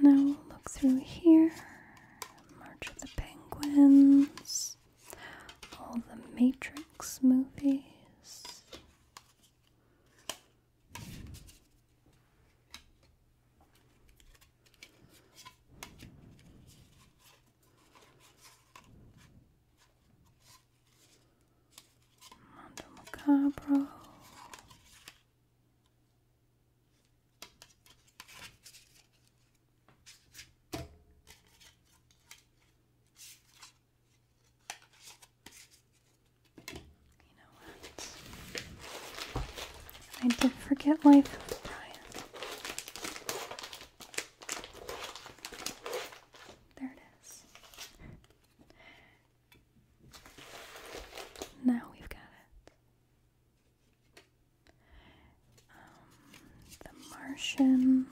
Now we'll look through here. March of the Penguins, all the Matrix movies. Mondo you know what? I did forget life of Brian. There it is. Now we've got it. Um, the Martian.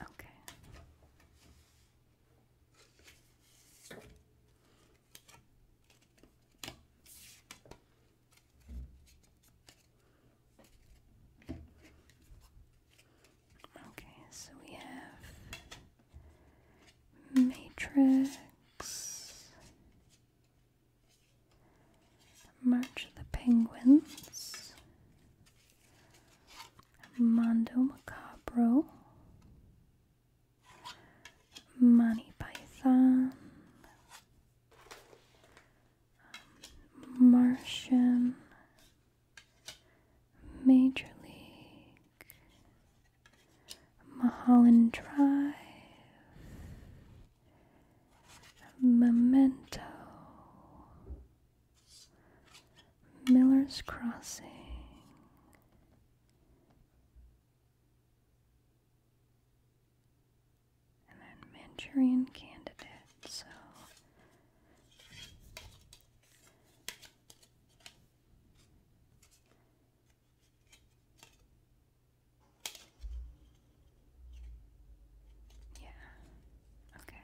Okay. Okay, so we have Matrix, March of the Penguins, Mondo Macabro, Monty Python, um, Martian, Major League. Mulholland Drive, Memento, Miller's Crossing. And then Manchurian Candidate. So yeah. Okay.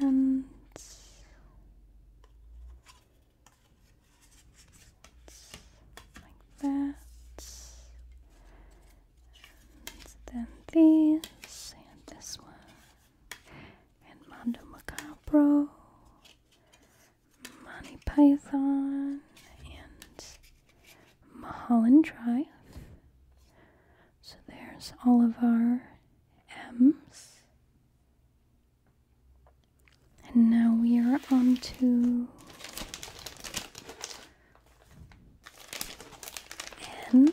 And like that. And then these and this one and Mondo Macabro, Monty Python, and Mulholland Drive. So there's all of our M's. And now we are on to N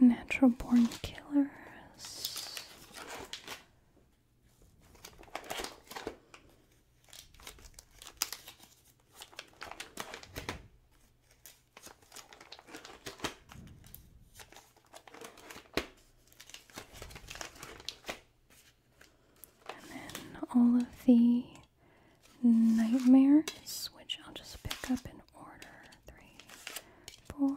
Natural Born Killers. And then all of the nightmares, which I'll just pick up in order three, four,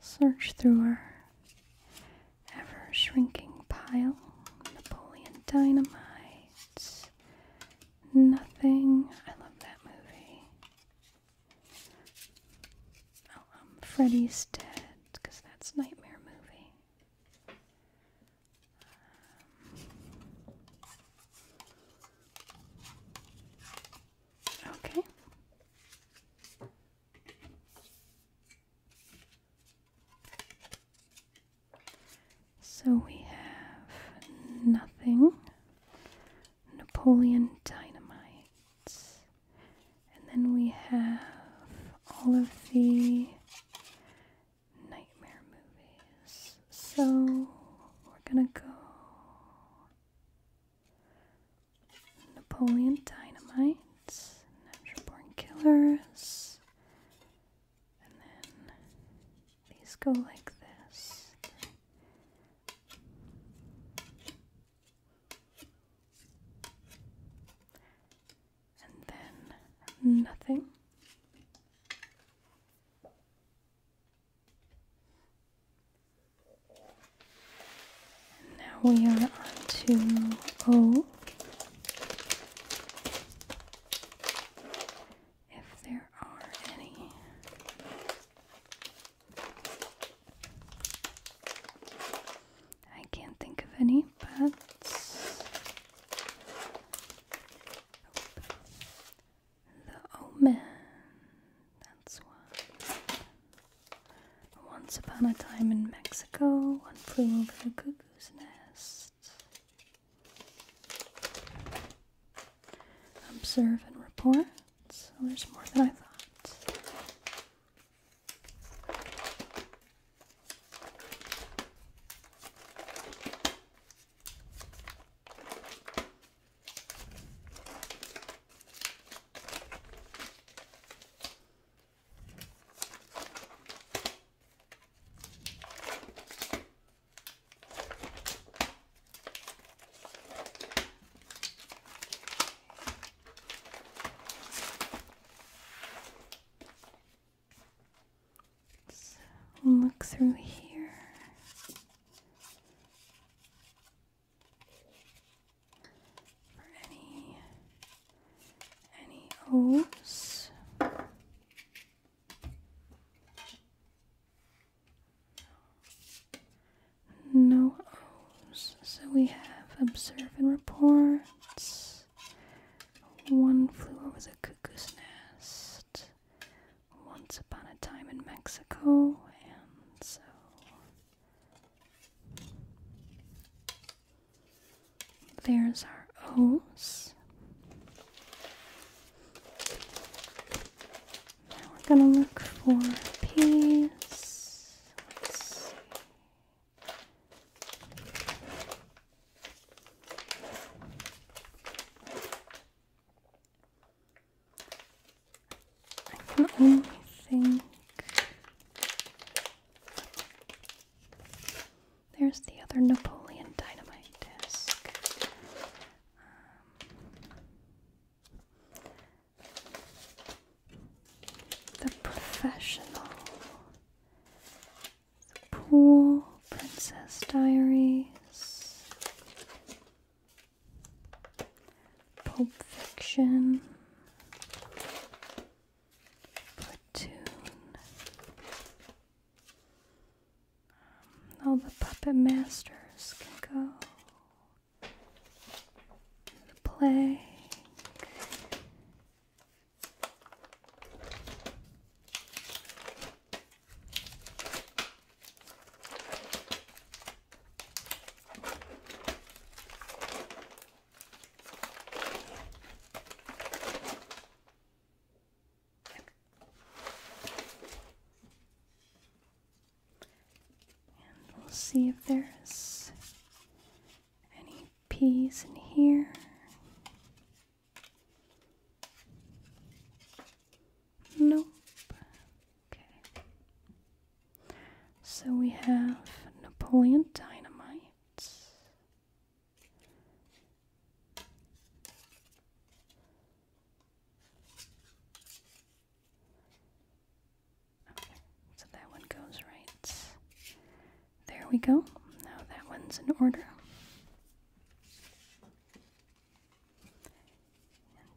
Search through our ever shrinking pile. Napoleon Dynamite. Nothing. I love that movie. Oh, um, Freddy's Dead, because that's Nightmare Movie. Um, Okay. So we have nothing, Napoleon Dynamite, and then we have all of the nightmare movies. So we're gonna go Napoleon Dynamite, Natural Born Killers, and then these go like this. And then nothing. Now we are on to O. If there are any. I can't think of any, but. The oh, Omen. That's one. Once upon a time in Mexico, one flew over a cuckoo's nest. Observe and report. So there's more than I thought look through here any any O's. No O's. So we have observe and reports. One flew over the cuckoo's nest once upon a time in Mexico, and so there's our O's. Now we're going to look for P's. I can only think there's the other Napoleon Dynamite disc. Um, the Professional, The Pool, Princess Diaries. Pulp Fiction, Platoon, um, all the Puppet Masters can go, the play we'll see if there's any peas in here. Nope. Okay. So we have Napoleon Dynamite. Okay, so that one goes right. There we go. Now that one's in order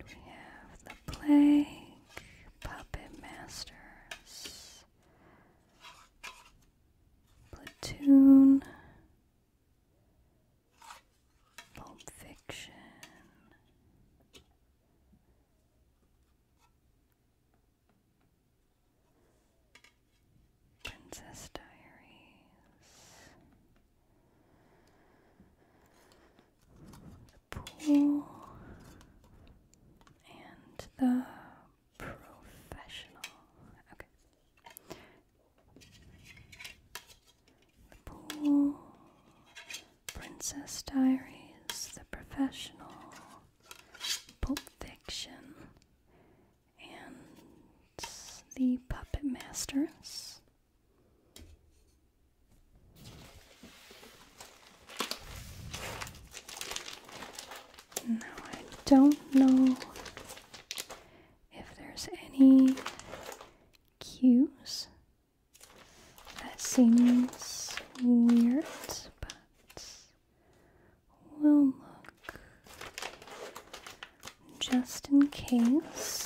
we have the Plague Puppet Masters, Platoon, Pulp Fiction. Princess Diaries, the pool and the professional. Okay. The pool, Princess Diaries, The Professional, Pulp Fiction, and The Puppet Masters. Now, I don't know if there's any cues. That seems weird, but we'll look just in case.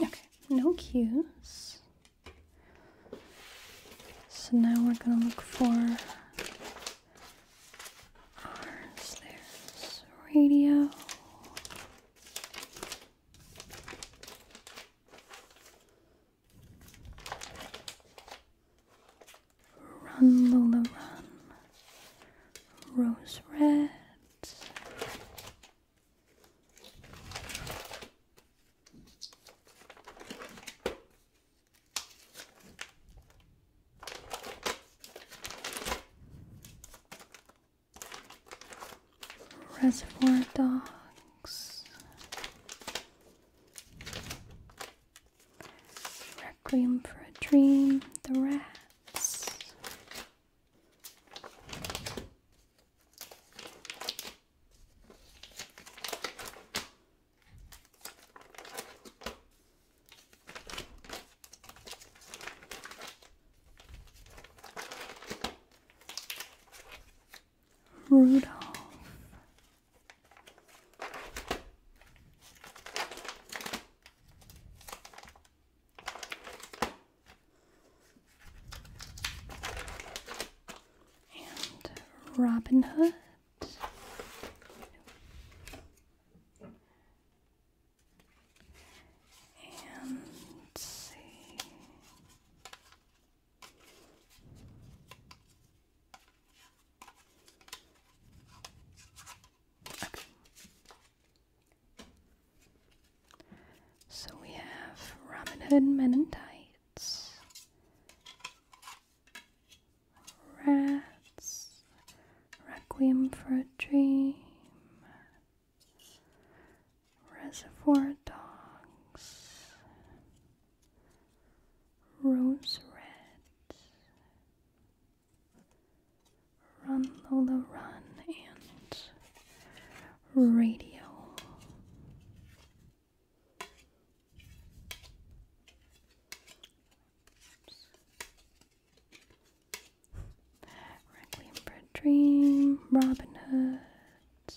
Okay, no cues. So now we're going to look for ours. There's radio. Run, Lola, run. Rose red. Reservoir Dogs, Requiem for a Dream, The Rats, Rudolph. And Robin Hood and see. Okay. So we have Robin Hood Men in Tights, Rats, Requiem for a Dream, Reservoir Dogs, Rose Red, Run Lola Run, and Radio. Requiem for a Dream, Robin Hood,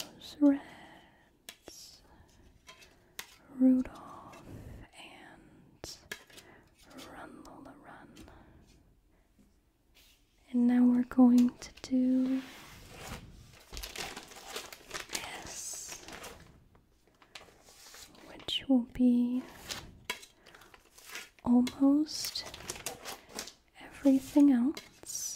Rose Reds, Rudolph, and Run Lola Run. And now we're going to do this, which will be almost everything else.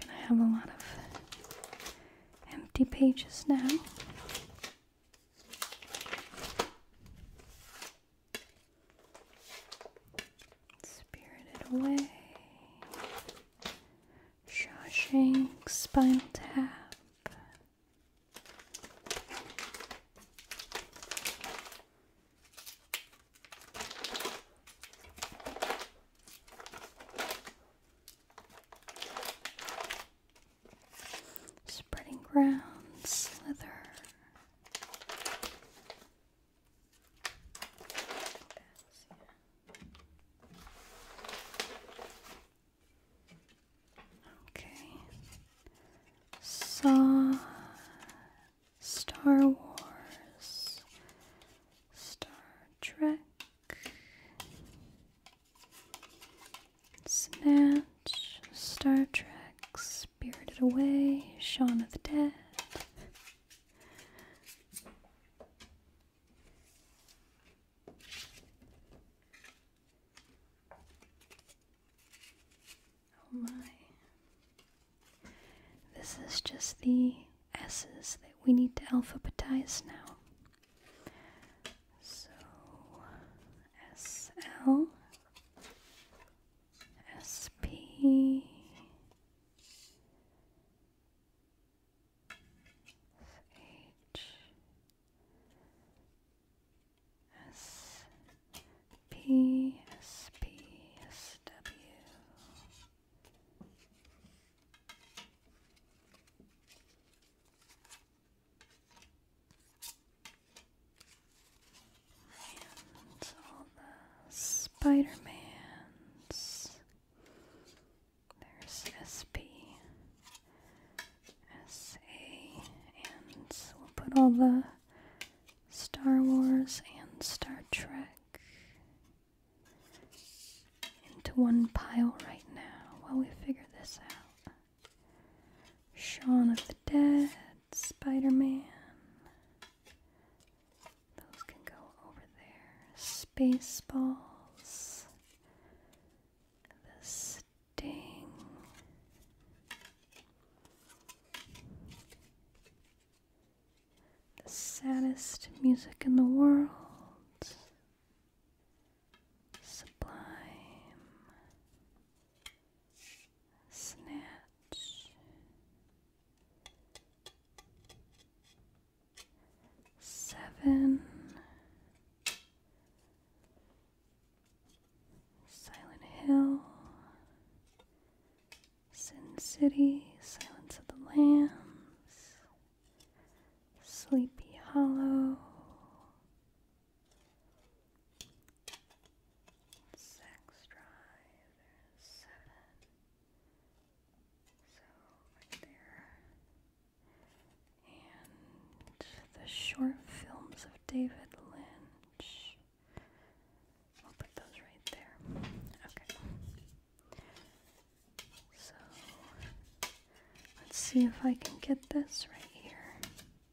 Can I have a lot of empty pages now? Spirited Away, Shawshank, Spinal Tap. Spreading ground, slither. Okay. Saw Star Wars Star Trek Snatch, Star Trek, Spirited Away, Shaun of the Dead. Oh my. This is just the S's that we need to alphabetize now. So SL and all the Spider-Mans. There's SP, and we'll put all the Star Wars and Star Trek into one pile right now while we figure this out. Shawn of the Dead, Spider Man. Those can go over there. Spaceballs, The Sting. The saddest music in the world. Sublime, Snatch, Seven, Silent Hill, Sin City, Silence of the Lambs, Sleepy Hollow six drive, seven. So right there. And the short films of David Lynch. I'll put those right there. Okay. So let's see if I can get this right here.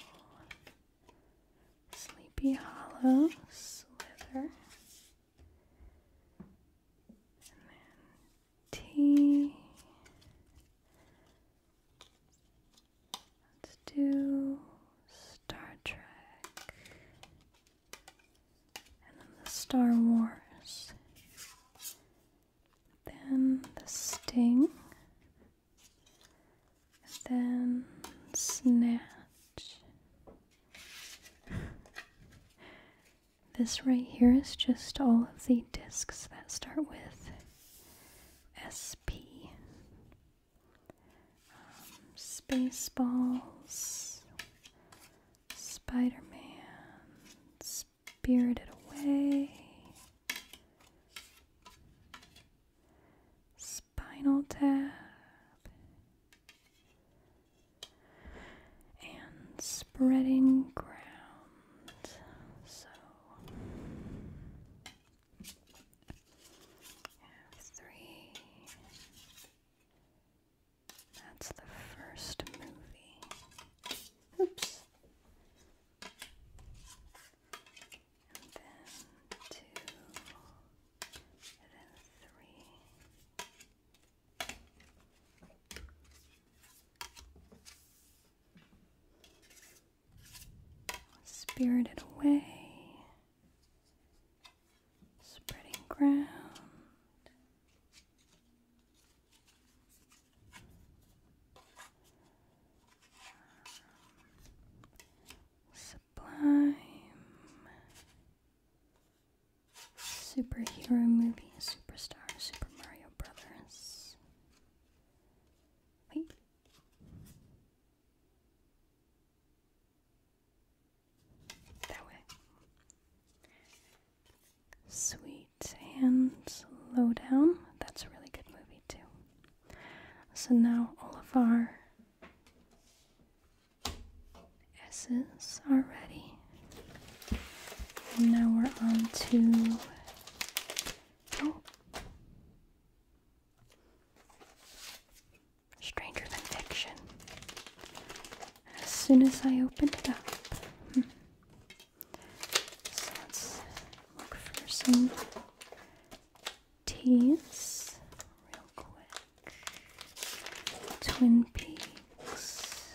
L. Sleepy Hollow Slither. T. Let's do Star Trek. And then the Star Wars then the sting, then snatch. This right here is just all of the discs that start with SP. Um, Spaceballs, Spider Man, Spirited Away, Spinal Tap, and Spreading Ground. So three. That's the first movie. Oops then two, then three. Spirited away, spreading ground. Sublime Superhero Movie Superstar Super Mario Brothers. Wait. That way. Sweet and slow down. That's a really good movie, too. So now all of our S's are ready. And now we're on to oh. Stranger Than Fiction. As soon as I opened it up. Hmm. let's look for some teas Twin Peaks.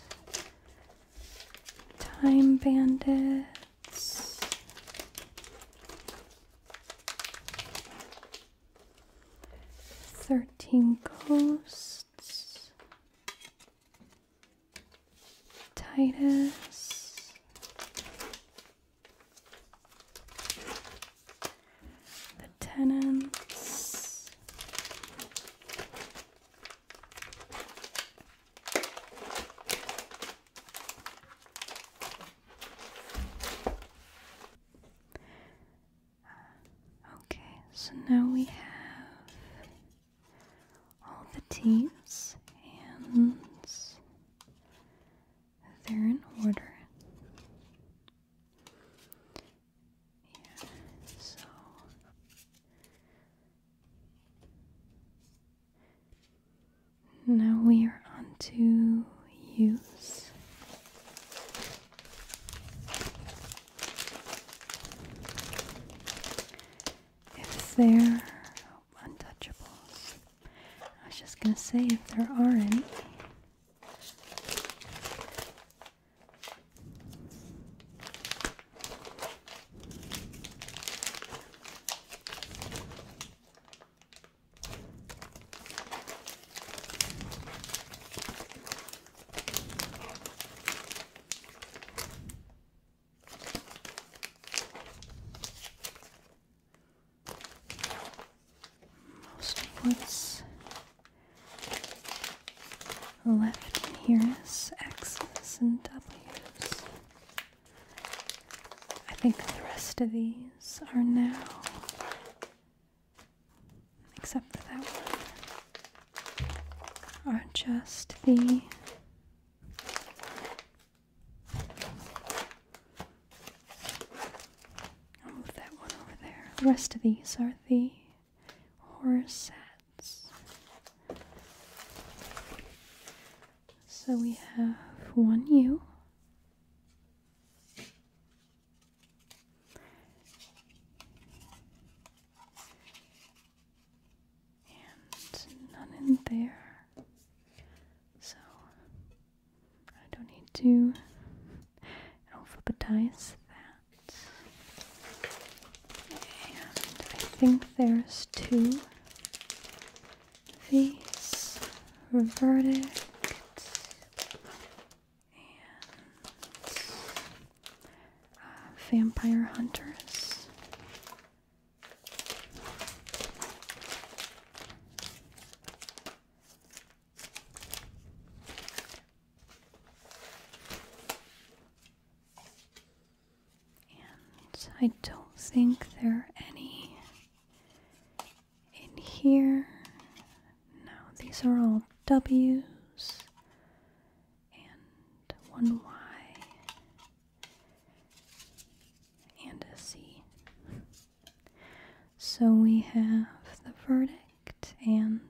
Time Bandits. Thirteen Ghosts. Titus. The tenants. Okay, so now we have all the T's and they're in order. Yeah, so now we are on to use if there untouchables. I was just gonna say if there are any. Most of left in here is X's and W's. I think the rest of these are now, except for that one, are just the move that one over there. The rest of these are the horror sets. So we have one U. And none in there. So I don't need to alphabetize that. And I think there's two these verdict and uh, vampire hunters. And I don't think there are any in here. No, these are all W's and one Y and a C. So we have the verdict and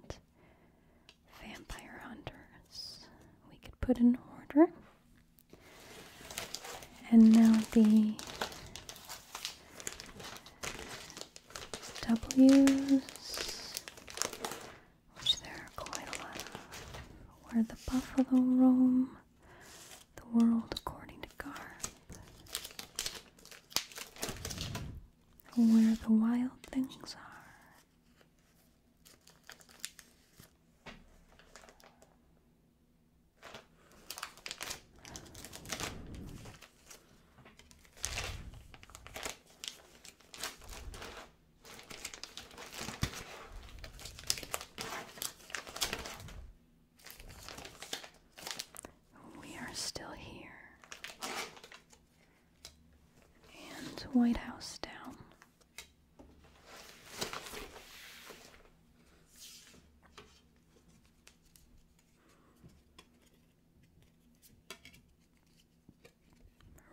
vampire hunters. We could put in order. And now the W's, which there are quite a lot where the buffalo roam. The World According to Garb. Where the Wild Things Are. We are still here. And White House down.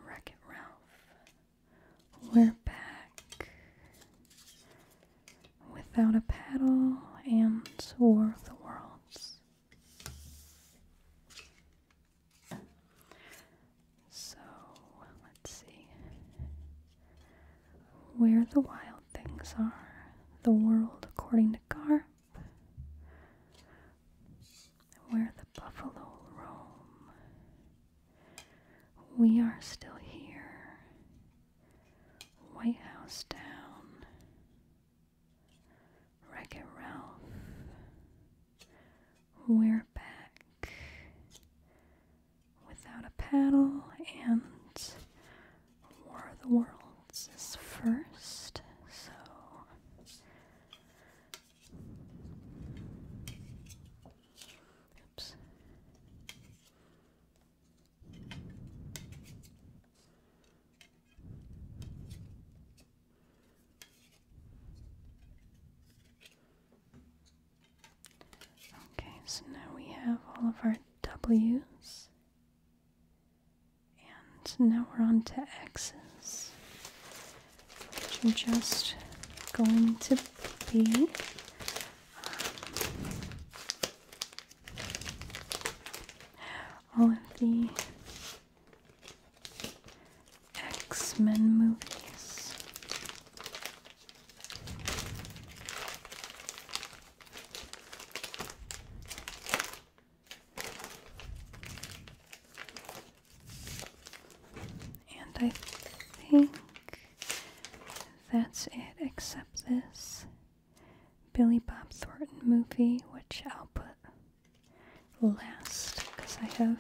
Wreck It Ralph. We're back. Without a Paddle and War of the Worlds. So let's see. Where the Wild Things Are. The World According to Garb, Where the Buffalo Roam. We Are Still Here. White House Down, Wreck It Ralph, We're Back, Without a Paddle, and War the Worlds is first, so. Oops. Okay, so now we have all of our W's. And now we're on to X's, which are just going to be um, all of the X Men movies. And I think that's it, except this Billy Bob Thornton movie, which I'll put last because I have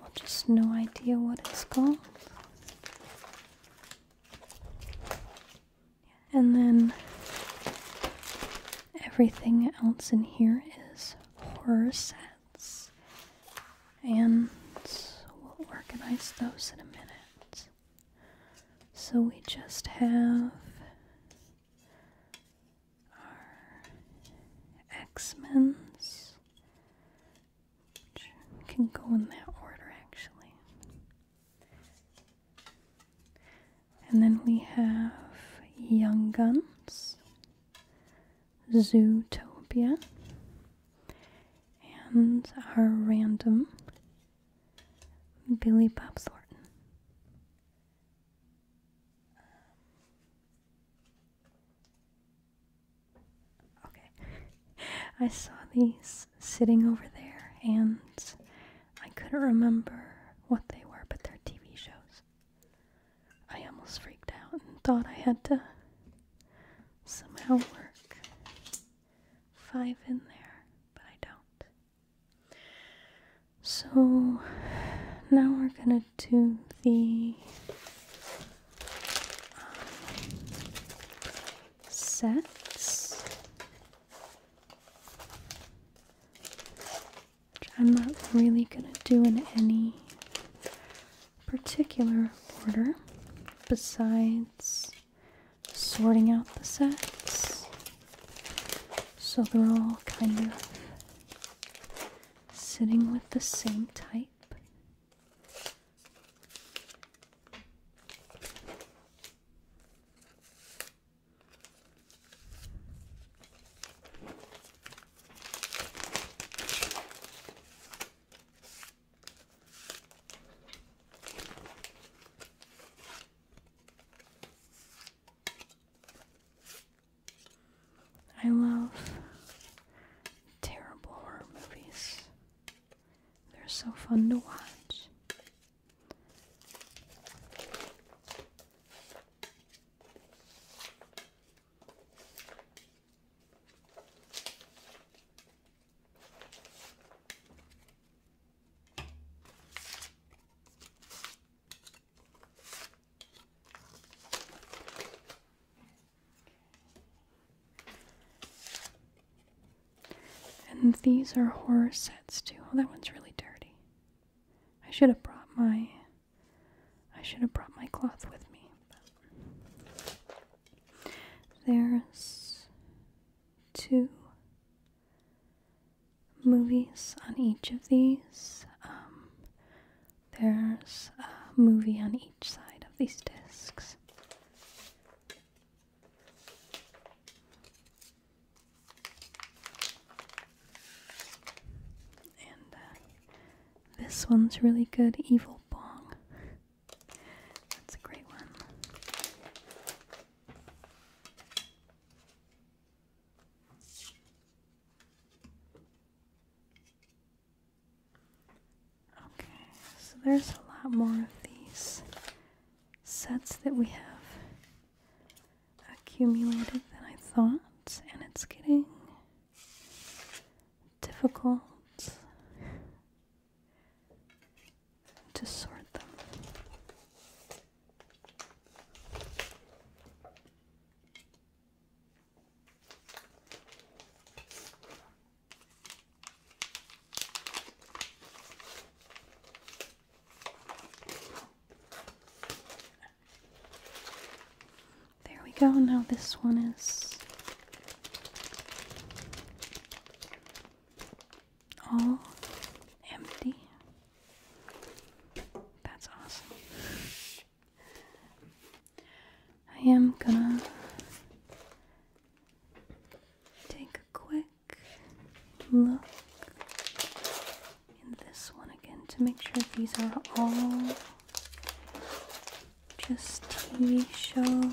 well, just no idea what it's called. And then everything else in here is horror sets. And we'll organize those in a minute. So we just have our X-Men's, which can go in that order actually. And then we have Young Guns, Zootopia, and our random Billy Bob Thornton. Okay, I saw these sitting over there and I couldn't remember what they were, but they're TV shows. I almost freaked out and thought I had to somehow work five in there, but I don't. So now we're gonna do the um, sets. Which I'm not really gonna do in any particular order besides sorting out the sets. So they're all kind of sitting with the same type. I love terrible horror movies. They're so fun to watch. And these are horror sets too. Oh, that one's really dirty. I should have brought my I should have brought my cloth with me. There's two movies on each of these. Um, there's a movie on each side of these discs. And uh, this one's really good, Evil Bong. That's a great one. Okay, so there's a lot more of these sets that we have accumulated than I thought, and it's getting difficult to sort them. There we go. Now this one is all empty. That's awesome. I am gonna take a quick look in this one again to make sure these are all just TV shows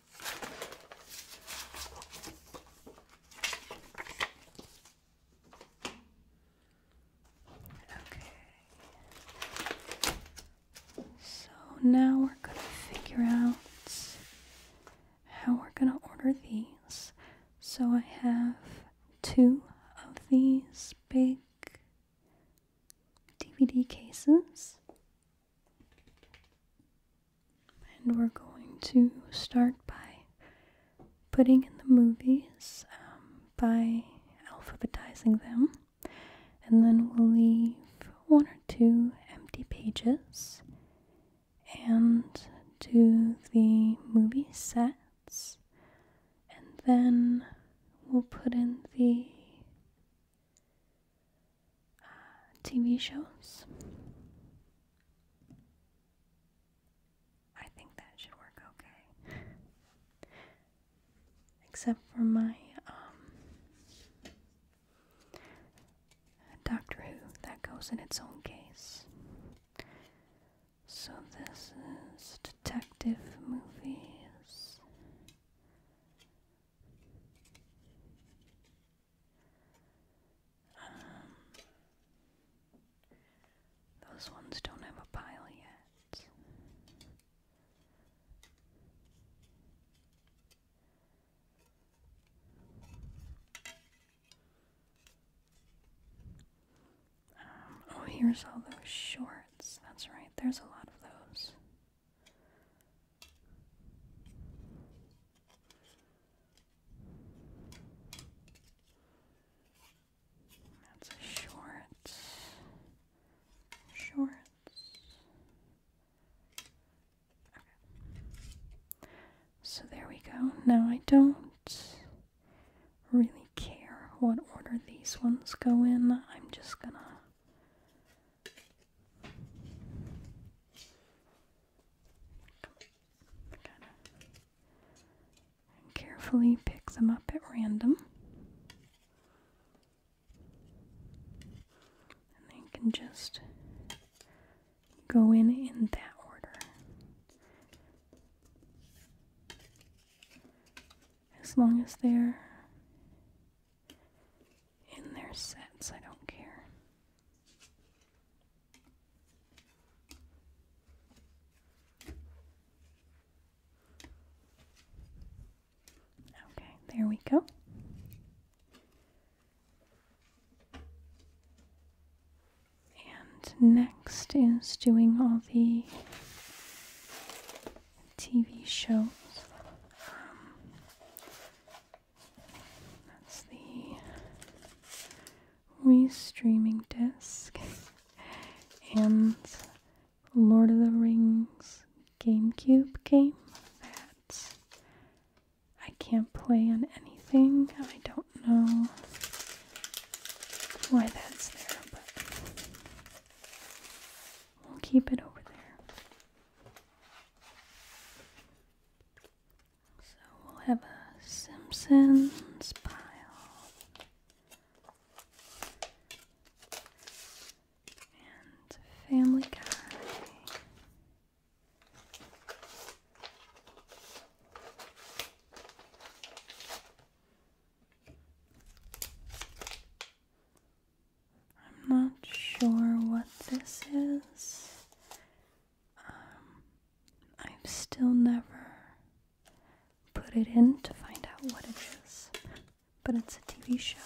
Okay. So now we're going to figure out how we're going to order these. So I have two of these big DVD cases. And we're going to start by putting in the movies um, by alphabetizing them. And then we'll leave one or two empty pages. And do the movie sets. And then we'll put in the TV shows. I think that should work okay. Except for my um, Doctor Who, that goes in its own case. So this is detective movies. Um, those ones don't have a pile yet. Um, oh, here's all those shorts. That's right, there's a lot of those. That's a Shorts. Okay. So there we go. Now I don't really care what order these ones go in. I'm just gonna carefully pick them up at random. And then can just go in in that order. As long as they're in their sets, I don't care. Okay, there we go. And next is doing all the TV shows. Um, that's the streaming disc and Lord of the Rings GameCube game that I can't play on anything. I don't know why that's there, but we'll keep it over there. So we'll have a Simpsons pile. And Family Guy. I'm not sure what this is. Um, I've still never put it in to find out what it is, but it's a TV show.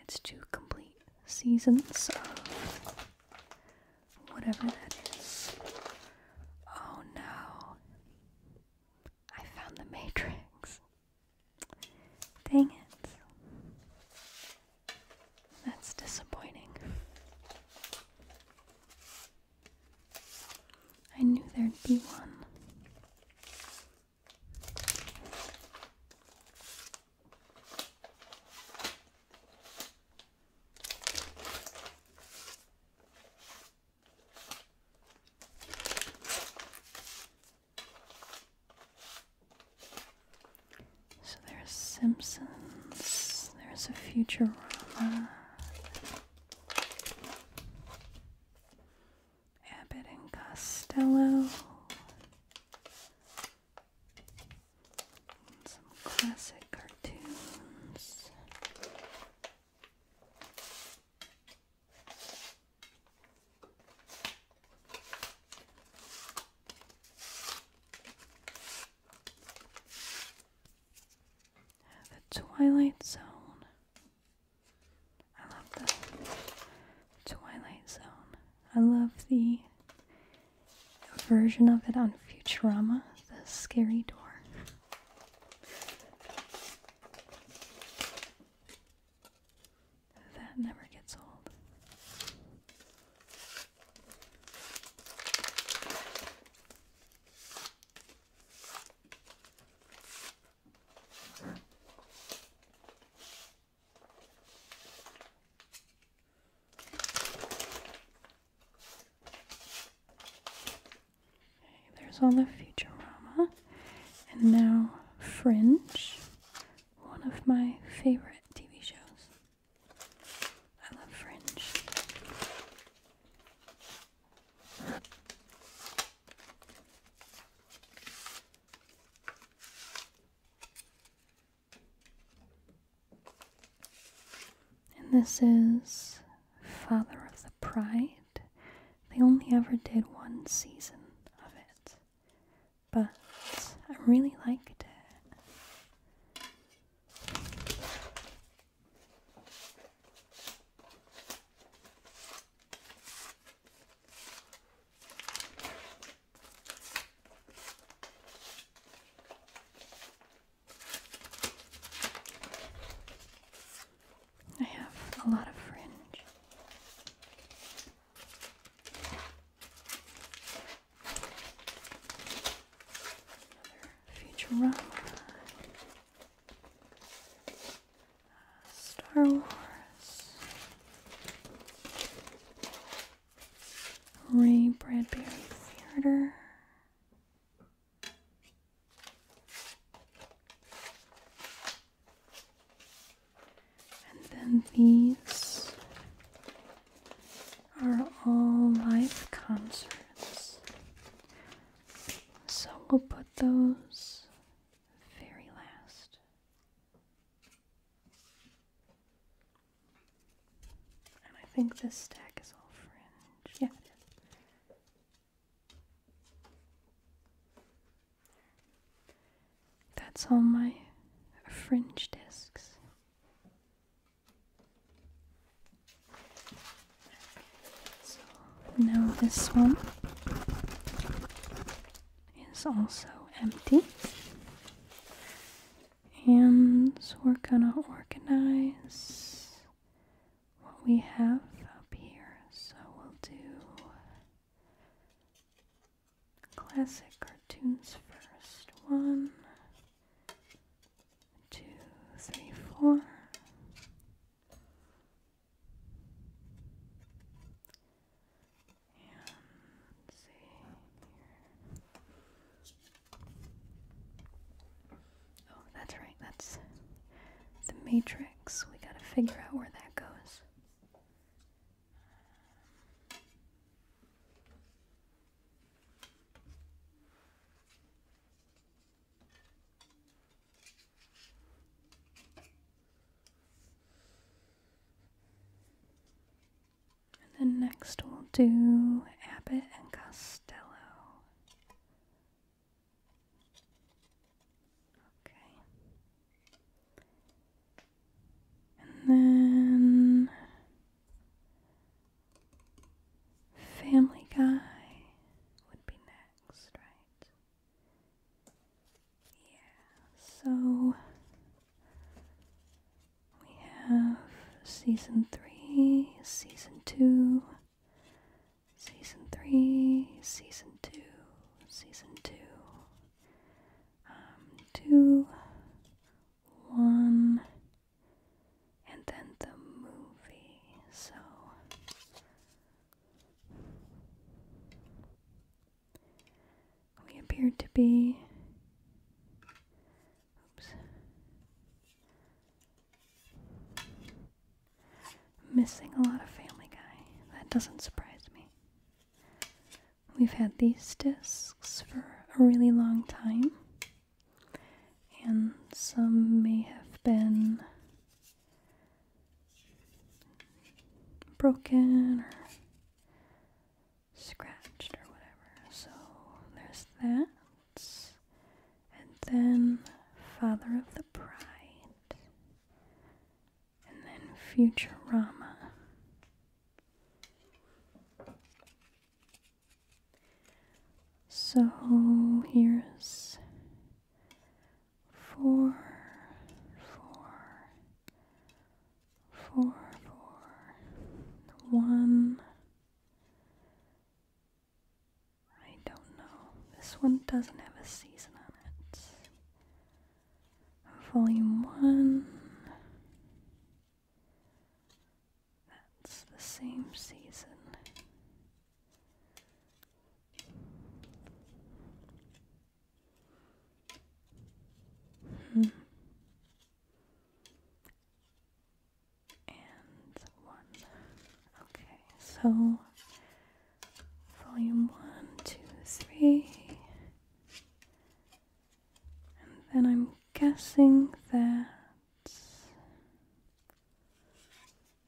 It's two complete seasons of whatever that is. Oh no. I found the Matrix. Dang it. That's disappointing. I knew there'd be one. So there's Simpsons, there's a Futurama, Abbott and Costello, some classic cartoons. The Twilight Zone. I love the Twilight Zone. I love the version of it on Futurama, the scary door. That never gets old. Okay, there's all the Futurama, and now Fringe, one of my favorite TV shows. I love fringe. And this is Father of the Pride. They only ever did one season of it, but I really liked it. I have a lot of fringe. Another Star Wars. Ray Bradbury Theater. And then these are all live concerts. So we'll put those very last. And I think this stack is all fringe. Yeah, it is. That's all my fringe discs now this one is also empty. And so we're gonna organize what we have up here. So we'll do classic cartoons first. One, two, three, four. And see here. Oh, that's right. That's the matrix. We gotta figure out where that goes. And then next we'll do Abbott and Costello. Okay. And then Family Guy would be next, right? Yeah, so we have season 3, season 2, season 3, season 2, season 2, um, 2, 1, and then the movie. So we appeared to be missing a lot of Family Guy. That doesn't surprise me. We've had these discs for a really long time and some may have been broken or scratched or whatever. So there's that. And then Father of the Bride. And then Futurama. So here's four, four, four, four, one. I don't know. This one doesn't have a season on it. Volume one. That's the same season. Hmm. And one. Okay, so volume one, two, three. And then I'm guessing there.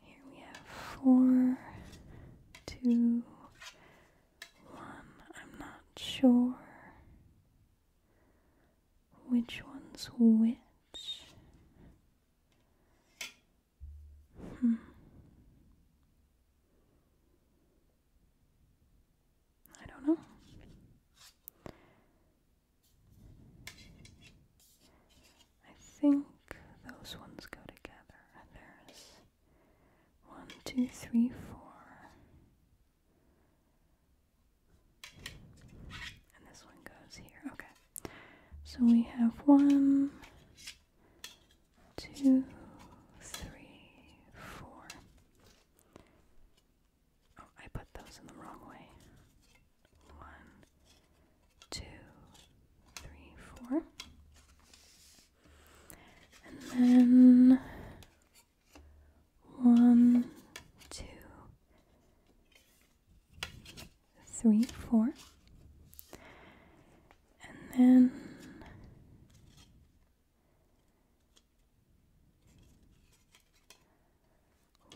Here we have four, two, one. I'm not sure which one's which. Hmm. I don't know. I think those ones go together. There's one, two, three, four. And this one goes here. Okay. So we have one, two, three, four. Oh, I put those in the wrong way. One, two, three, four. And then one, two, three, four. And then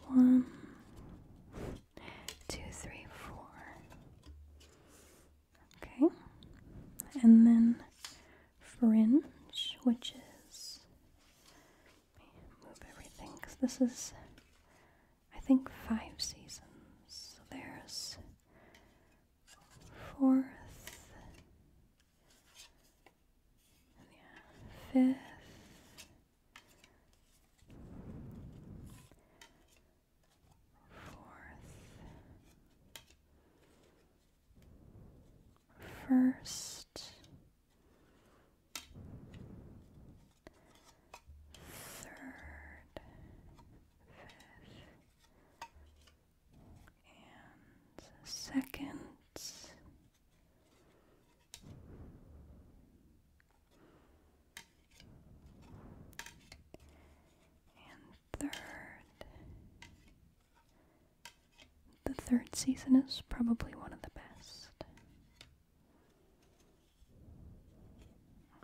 one, two, three, four. Okay, and then fringe, which is. move everything because this is, I think, five seasons. So there's fourth, fifth, fourth, first, third, fifth, and second. And third, the third season is probably one of the best.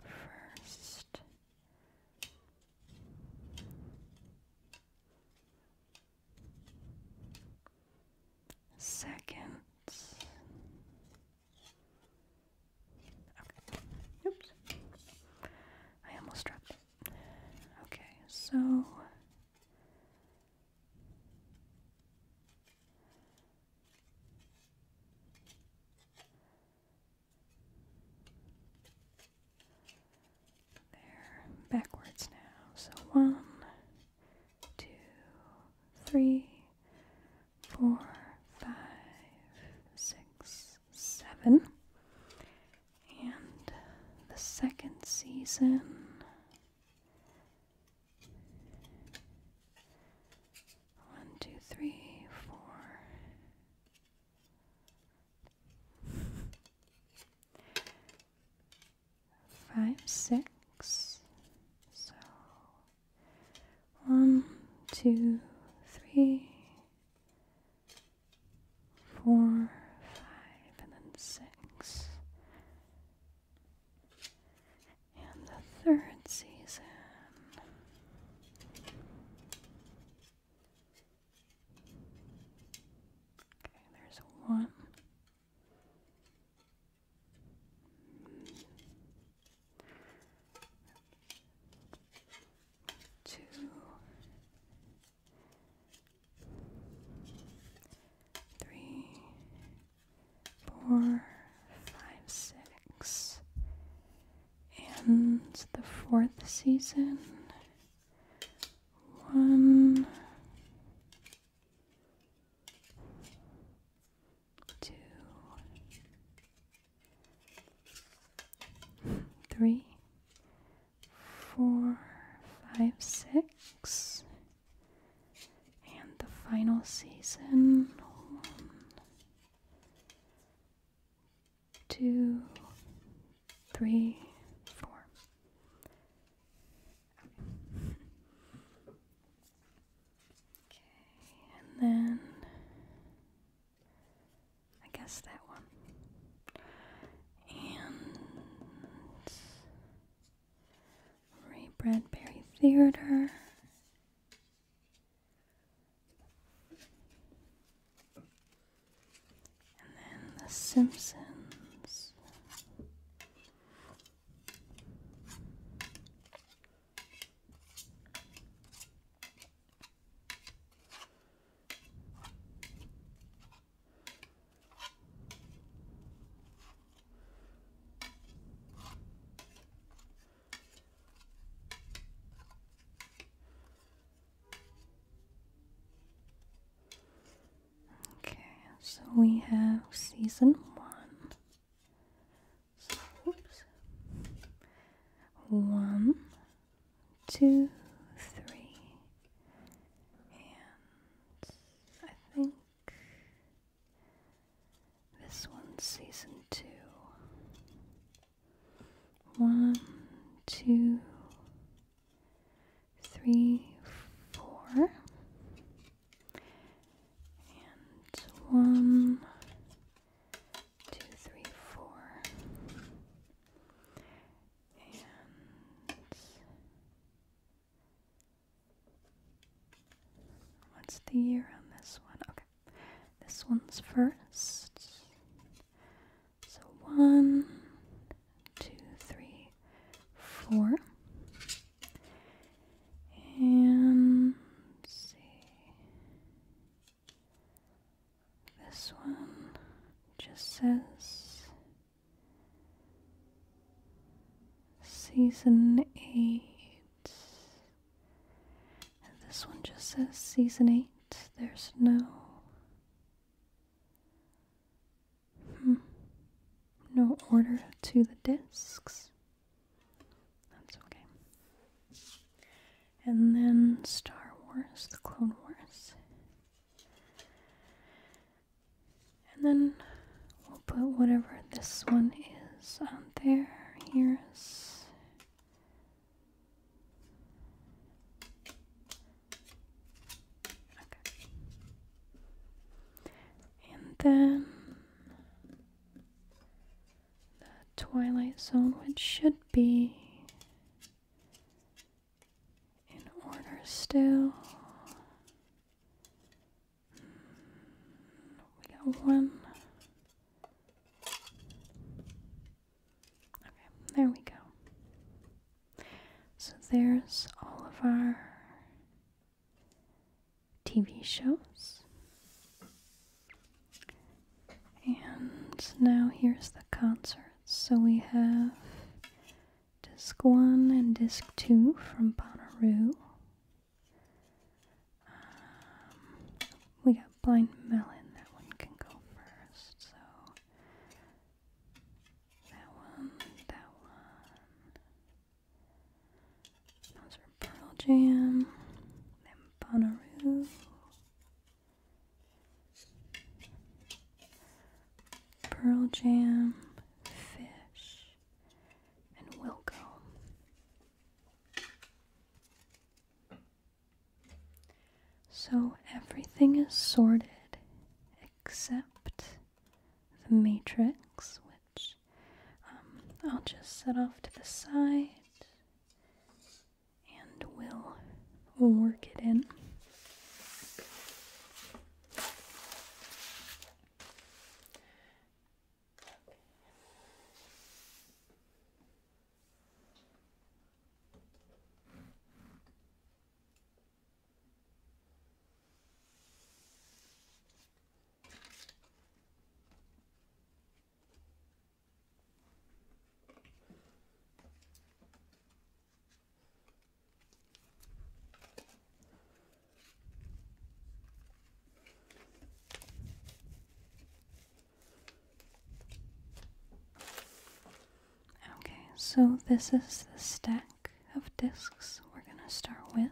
First, seconds. Okay. Oops. I almost dropped Okay, so there, backwards now. So one, two, three, four, five, six, seven. And the second season. One, two, three, four five, six. So one, two, three, four, five, and then six. And the third season. Okay, there's one, Two, three, four, five, six, and the fourth season. One, two, three, four, five, six, and the final season one, two, three, four. Okay, and then I guess that one. And Ray Bradbury Theater. And then The Simpsons. Okay, so we have season one oops. One, two, three, and I think this one's season two. One, two, three, four. And one, two, three, four. And what's the year on this one? Okay. This one's first. So one, two, three, four. And see this one just says season eight. this one just says season eight. There's no hmm, no order to the discs. That's okay. And then Star Wars, The Clone Wars. And then we'll put whatever this one is on there. Here's. Okay. And then the Twilight Zone, which should be in order still. Hmm, we got one. Okay, there we go. So there's all of our TV shows. And now here's the concert. So we have disc 1 and disc 2 from Bonnaroo. Um, we got Blind Melon, that one can go first. So that one, that one. Those are Pearl Jam, then Bonnaroo. Pearl Jam, Fish, and Wilco. So everything is sorted except the matrix, um, I'll just set off to the side and we'll work it in. Okay, so this is the stack of discs we're going to start with.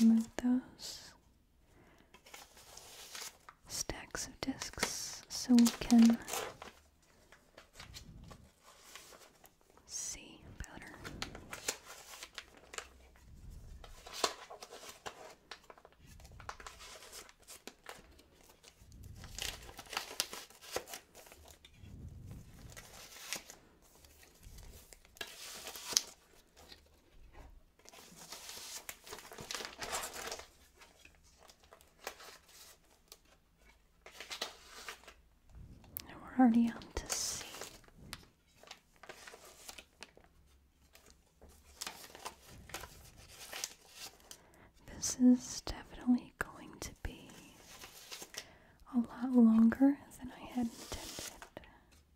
Remove those stacks of discs so we can see better we're already on to C. This is definitely going to be a lot longer than I had intended.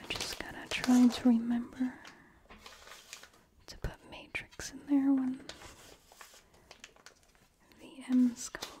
I'm just gonna try to remember to put matrix in there when the M's come along.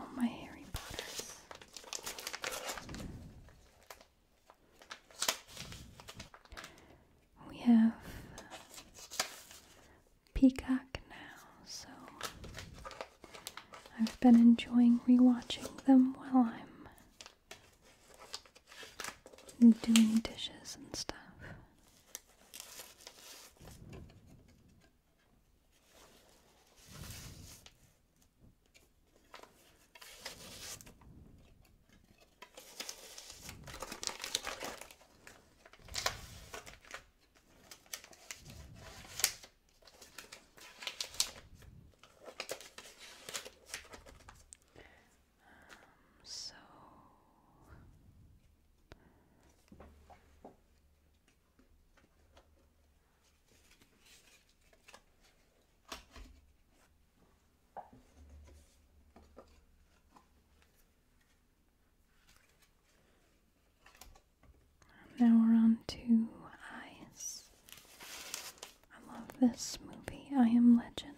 Oh, my Harry Potters. We have Peacock now, so I've been enjoying rewatching them while I'm doing dishes and stuff. Um, so now we're on to eyes. I love this movie, I Am Legend.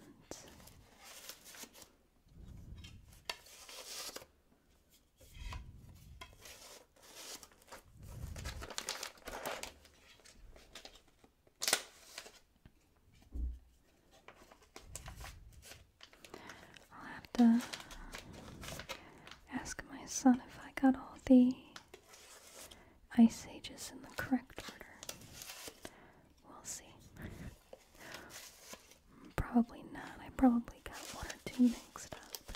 I'll have to ask my son if I got all the ice ages in the correct order. We'll see. Probably not. I probably got one or two mixed up.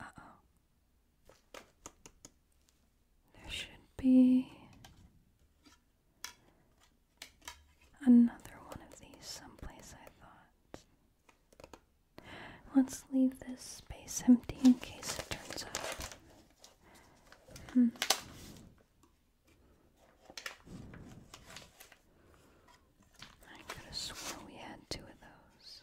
Uh-oh. There should be another one of these someplace, I thought. Let's leave this space empty in case it turns up. Hmm. I could have sworn we had two of those.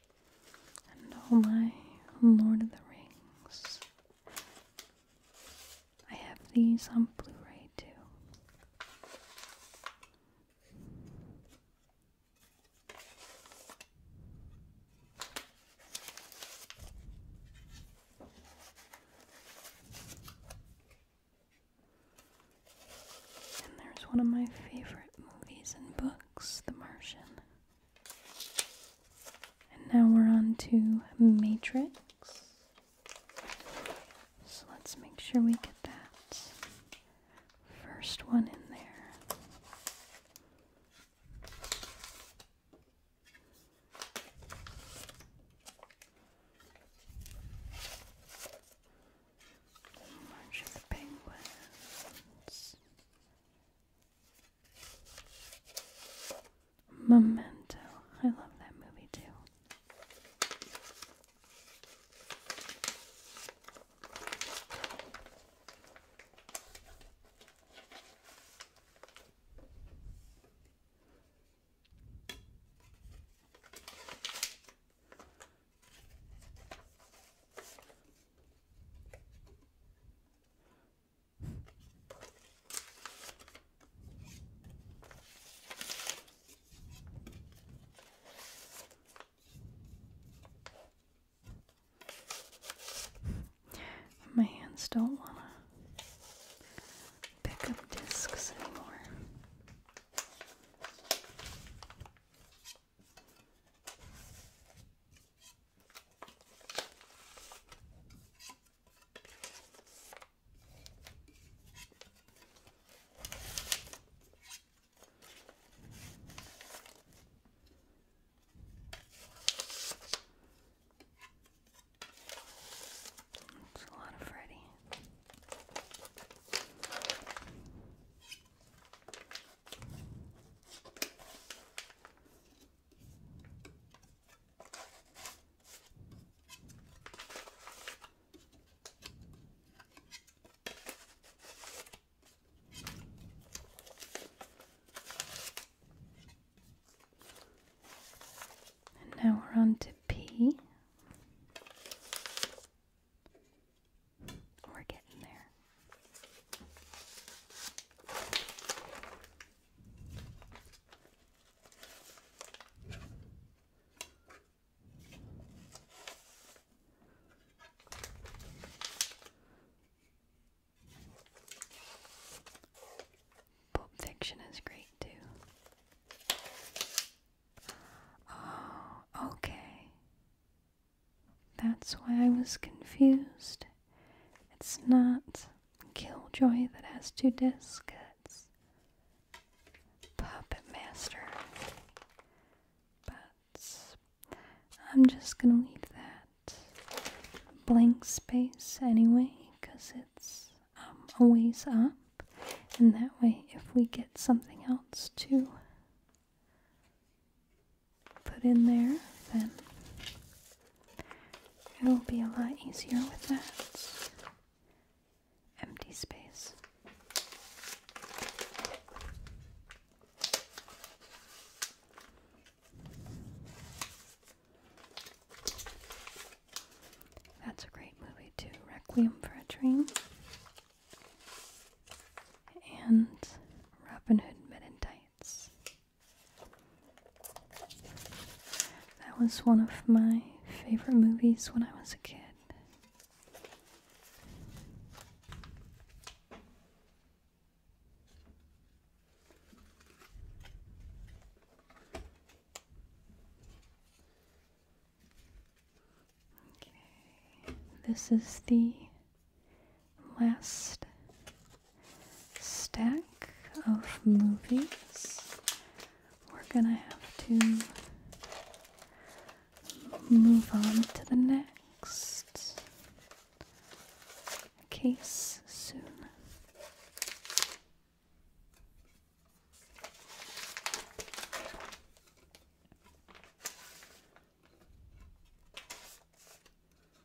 and all oh my Lord of the Rings. I have these on Blu ray too. And there's one of my favorite movies and books, The Martian. And now we're on to matrix. So let's make sure we get that first one in there. The of the Penguins. Memento. I love that movie too. My hands don't want to pick up discs anymore. It's a lot of Freddy. And now we're on to P. We're getting there. Pulp Fiction is great too. Oh, okay. That's why I was confused. It's not Killjoy that has two discs, it's Puppet Master. But I'm just gonna leave that blank space anyway, because it's um, always up. And that way, if we get something else to put in there, then it will be a lot easier with that empty space. That's a great movie, too Requiem for a Dream and Robin Hood Men in Tights. That was one of my favorite movies when I was a kid. Okay, this is the last stack of movies. We're gonna have to move on to the next case soon.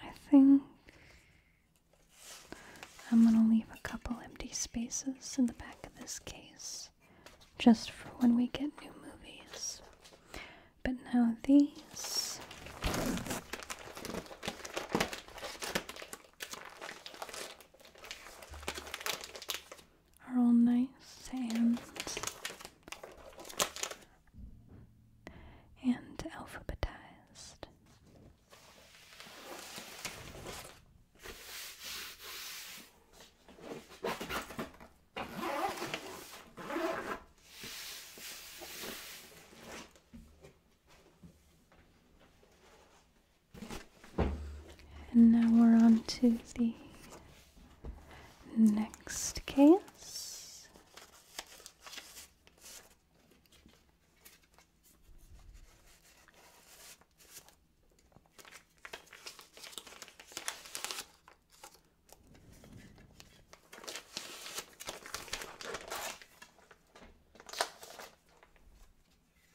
I think I'm going to leave a couple empty spaces in the back of this case just for when we get new movies. But now these are all nice and and alphabetized. And now we're on to the next case.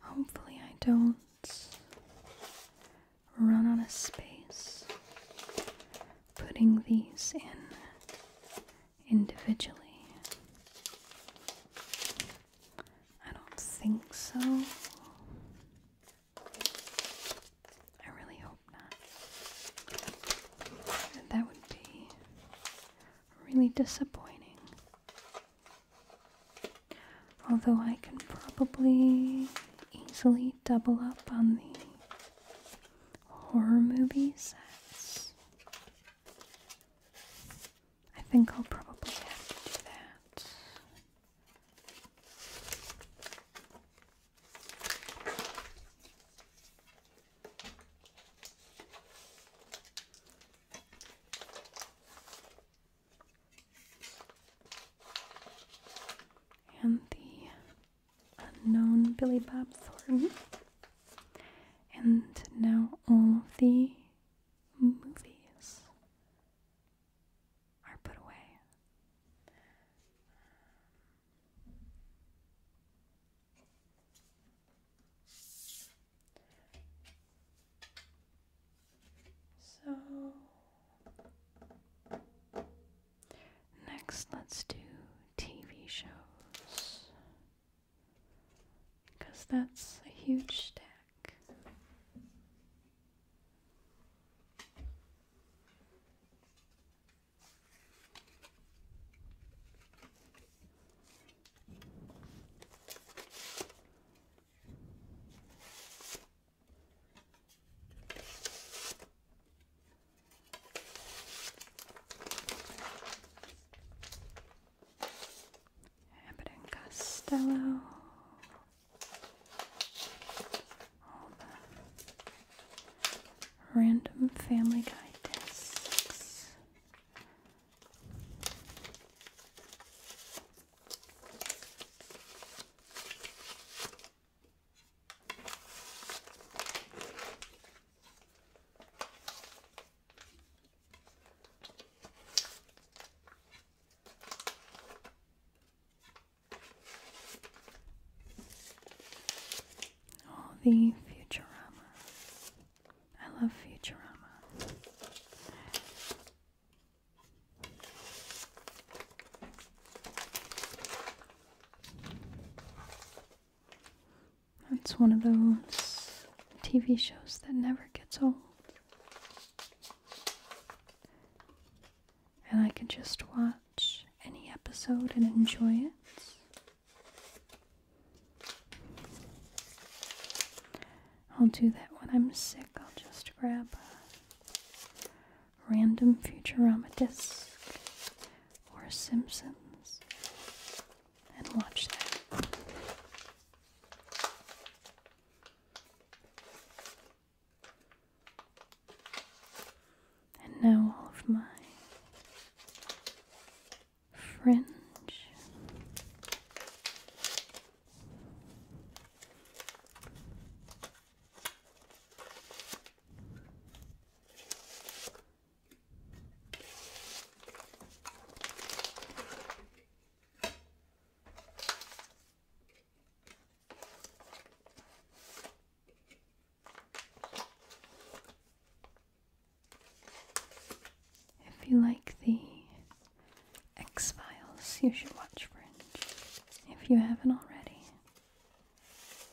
Hopefully, I don't run out of space putting these in individually. I don't think so. I really hope not. That would be really disappointing. Although I can probably easily double up on the horror movies. sets. I think I'll probably have to do that. And the unknown Billy Bob Thornton, mm-hmm. and now all the movies are put away. So Next, let's do TV shows. Because that's a huge stack. Abbott Costello. random family guide discs. All the Futurama. I love Futurama. That's one of those TV shows that never gets old. And I can just watch any episode and enjoy it. I'll do that when I'm sick. I'll just grab a random Futurama disc or Simpsons and watch that. And now all of my fringe. If you like the X Files, you should watch Fringe if you haven't already.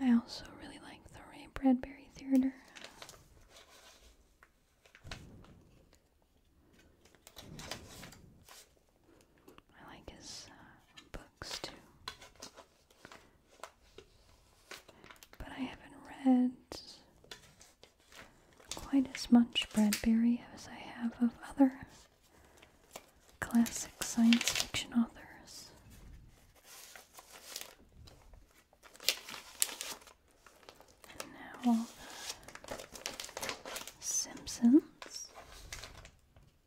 I also really like the Ray Bradbury Theater. I like his uh, books too. But I haven't read quite as much Bradbury as I have of other classic science fiction authors. And now, uh, Simpsons.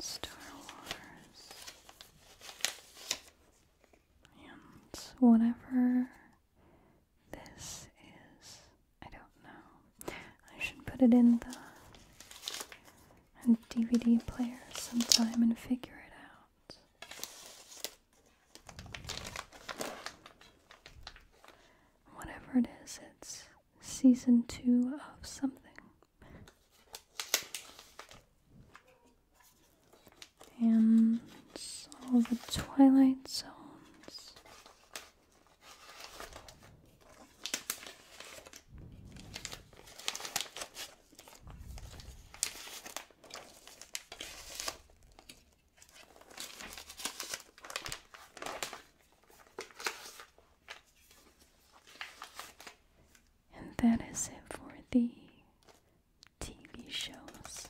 Star Wars and whatever this is, I don't know. I should put it in the DVD player sometime and figure it out. Whatever it is, it's season two of something and all the twilight zones. And that is it for the TV shows.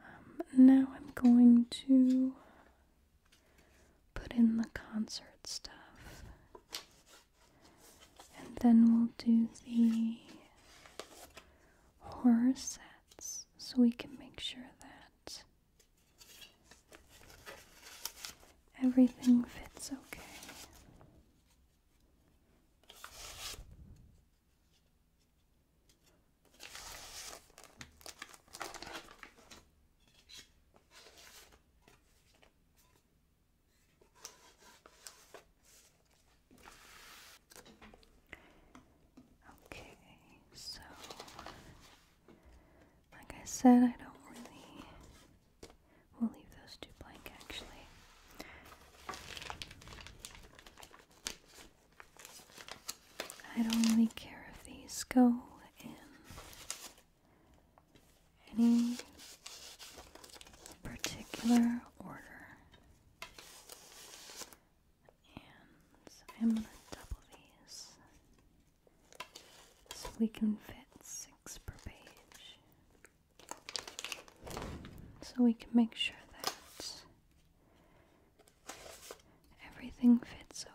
Um, now I'm going to put in the concert stuff. And then we'll do the horror sets so we can make sure that Everything fits okay. Okay, so like I said, I don't really. We'll leave those two blank actually. I don't really care if these go in any particular order. And I'm going to double these. So we can fit six per page. So we can make sure that everything fits okay.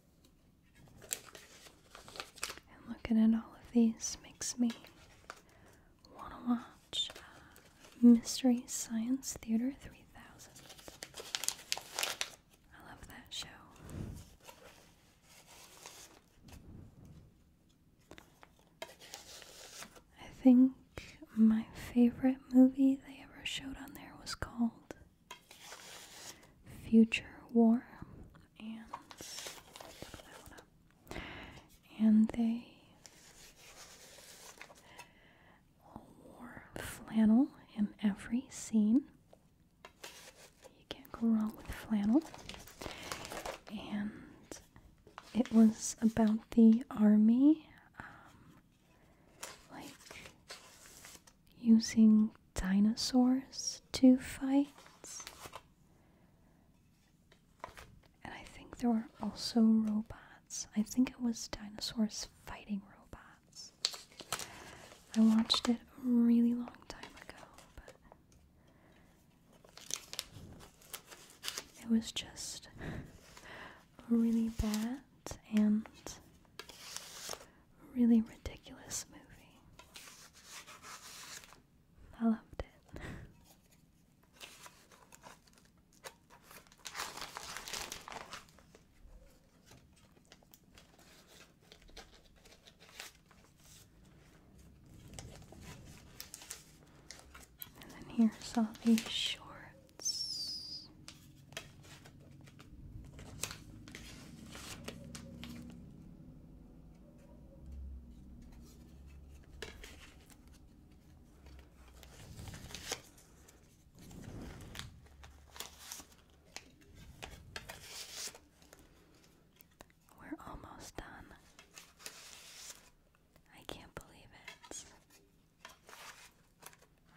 And looking at all of these makes me want to watch uh, Mystery Science Theater 3000. I love that show. I think my favorite movie they ever showed on there was called Future War, and they wore flannel in every scene. You can't go wrong with flannel. And it was about the army, um, like using dinosaurs to fight. And I think there were also robots. I think it was dinosaurs fighting robots. I watched it a really long time ago, but it was just really bad and really ridiculous movie. I loved it. And then here's all these shorts. We're almost done. I can't believe it.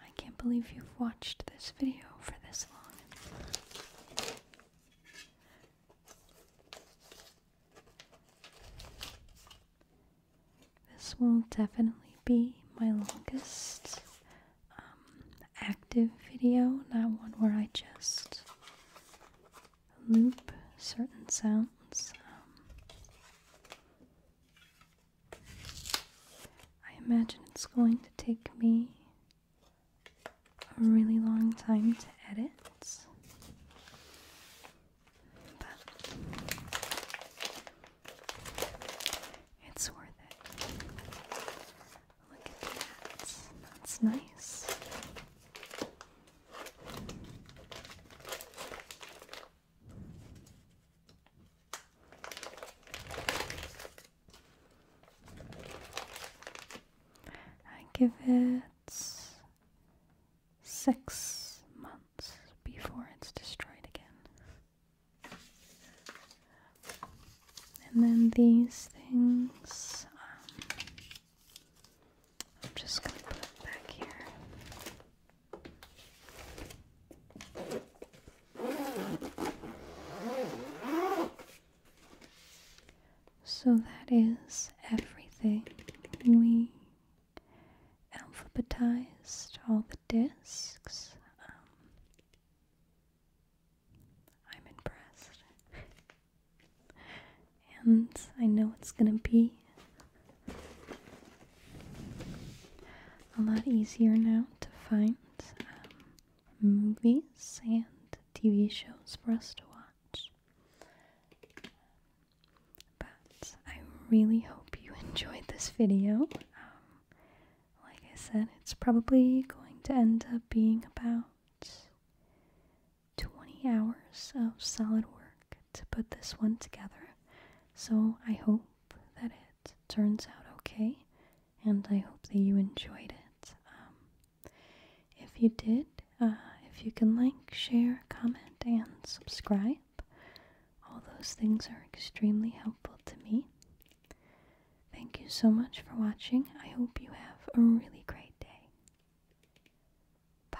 I can't believe you've watched this video for this long. This will definitely be my longest um, active video, not one where I just loop certain sounds. Um. I imagine it's going to take me a really long time to edit. But it's worth it. Look at that. That's nice. I give it six months before it's destroyed again. And then these things, um, I'm just going to put it back here. So that is everything. We alphabetized all the discs. Um, I'm impressed. and I know it's going to be a lot easier now to find. Um, movies and TV shows for us to watch. But I really hope you enjoyed this video. Um, like I said, it's probably going to end up being about 20 hours of solid work to put this one together. So I hope that it turns out okay, and I hope that you enjoyed it. Um, if you did, uh, if you can like, share, comment, and subscribe, all those things are extremely helpful to me. Thank you so much for watching. I hope you have a really great day. Bye.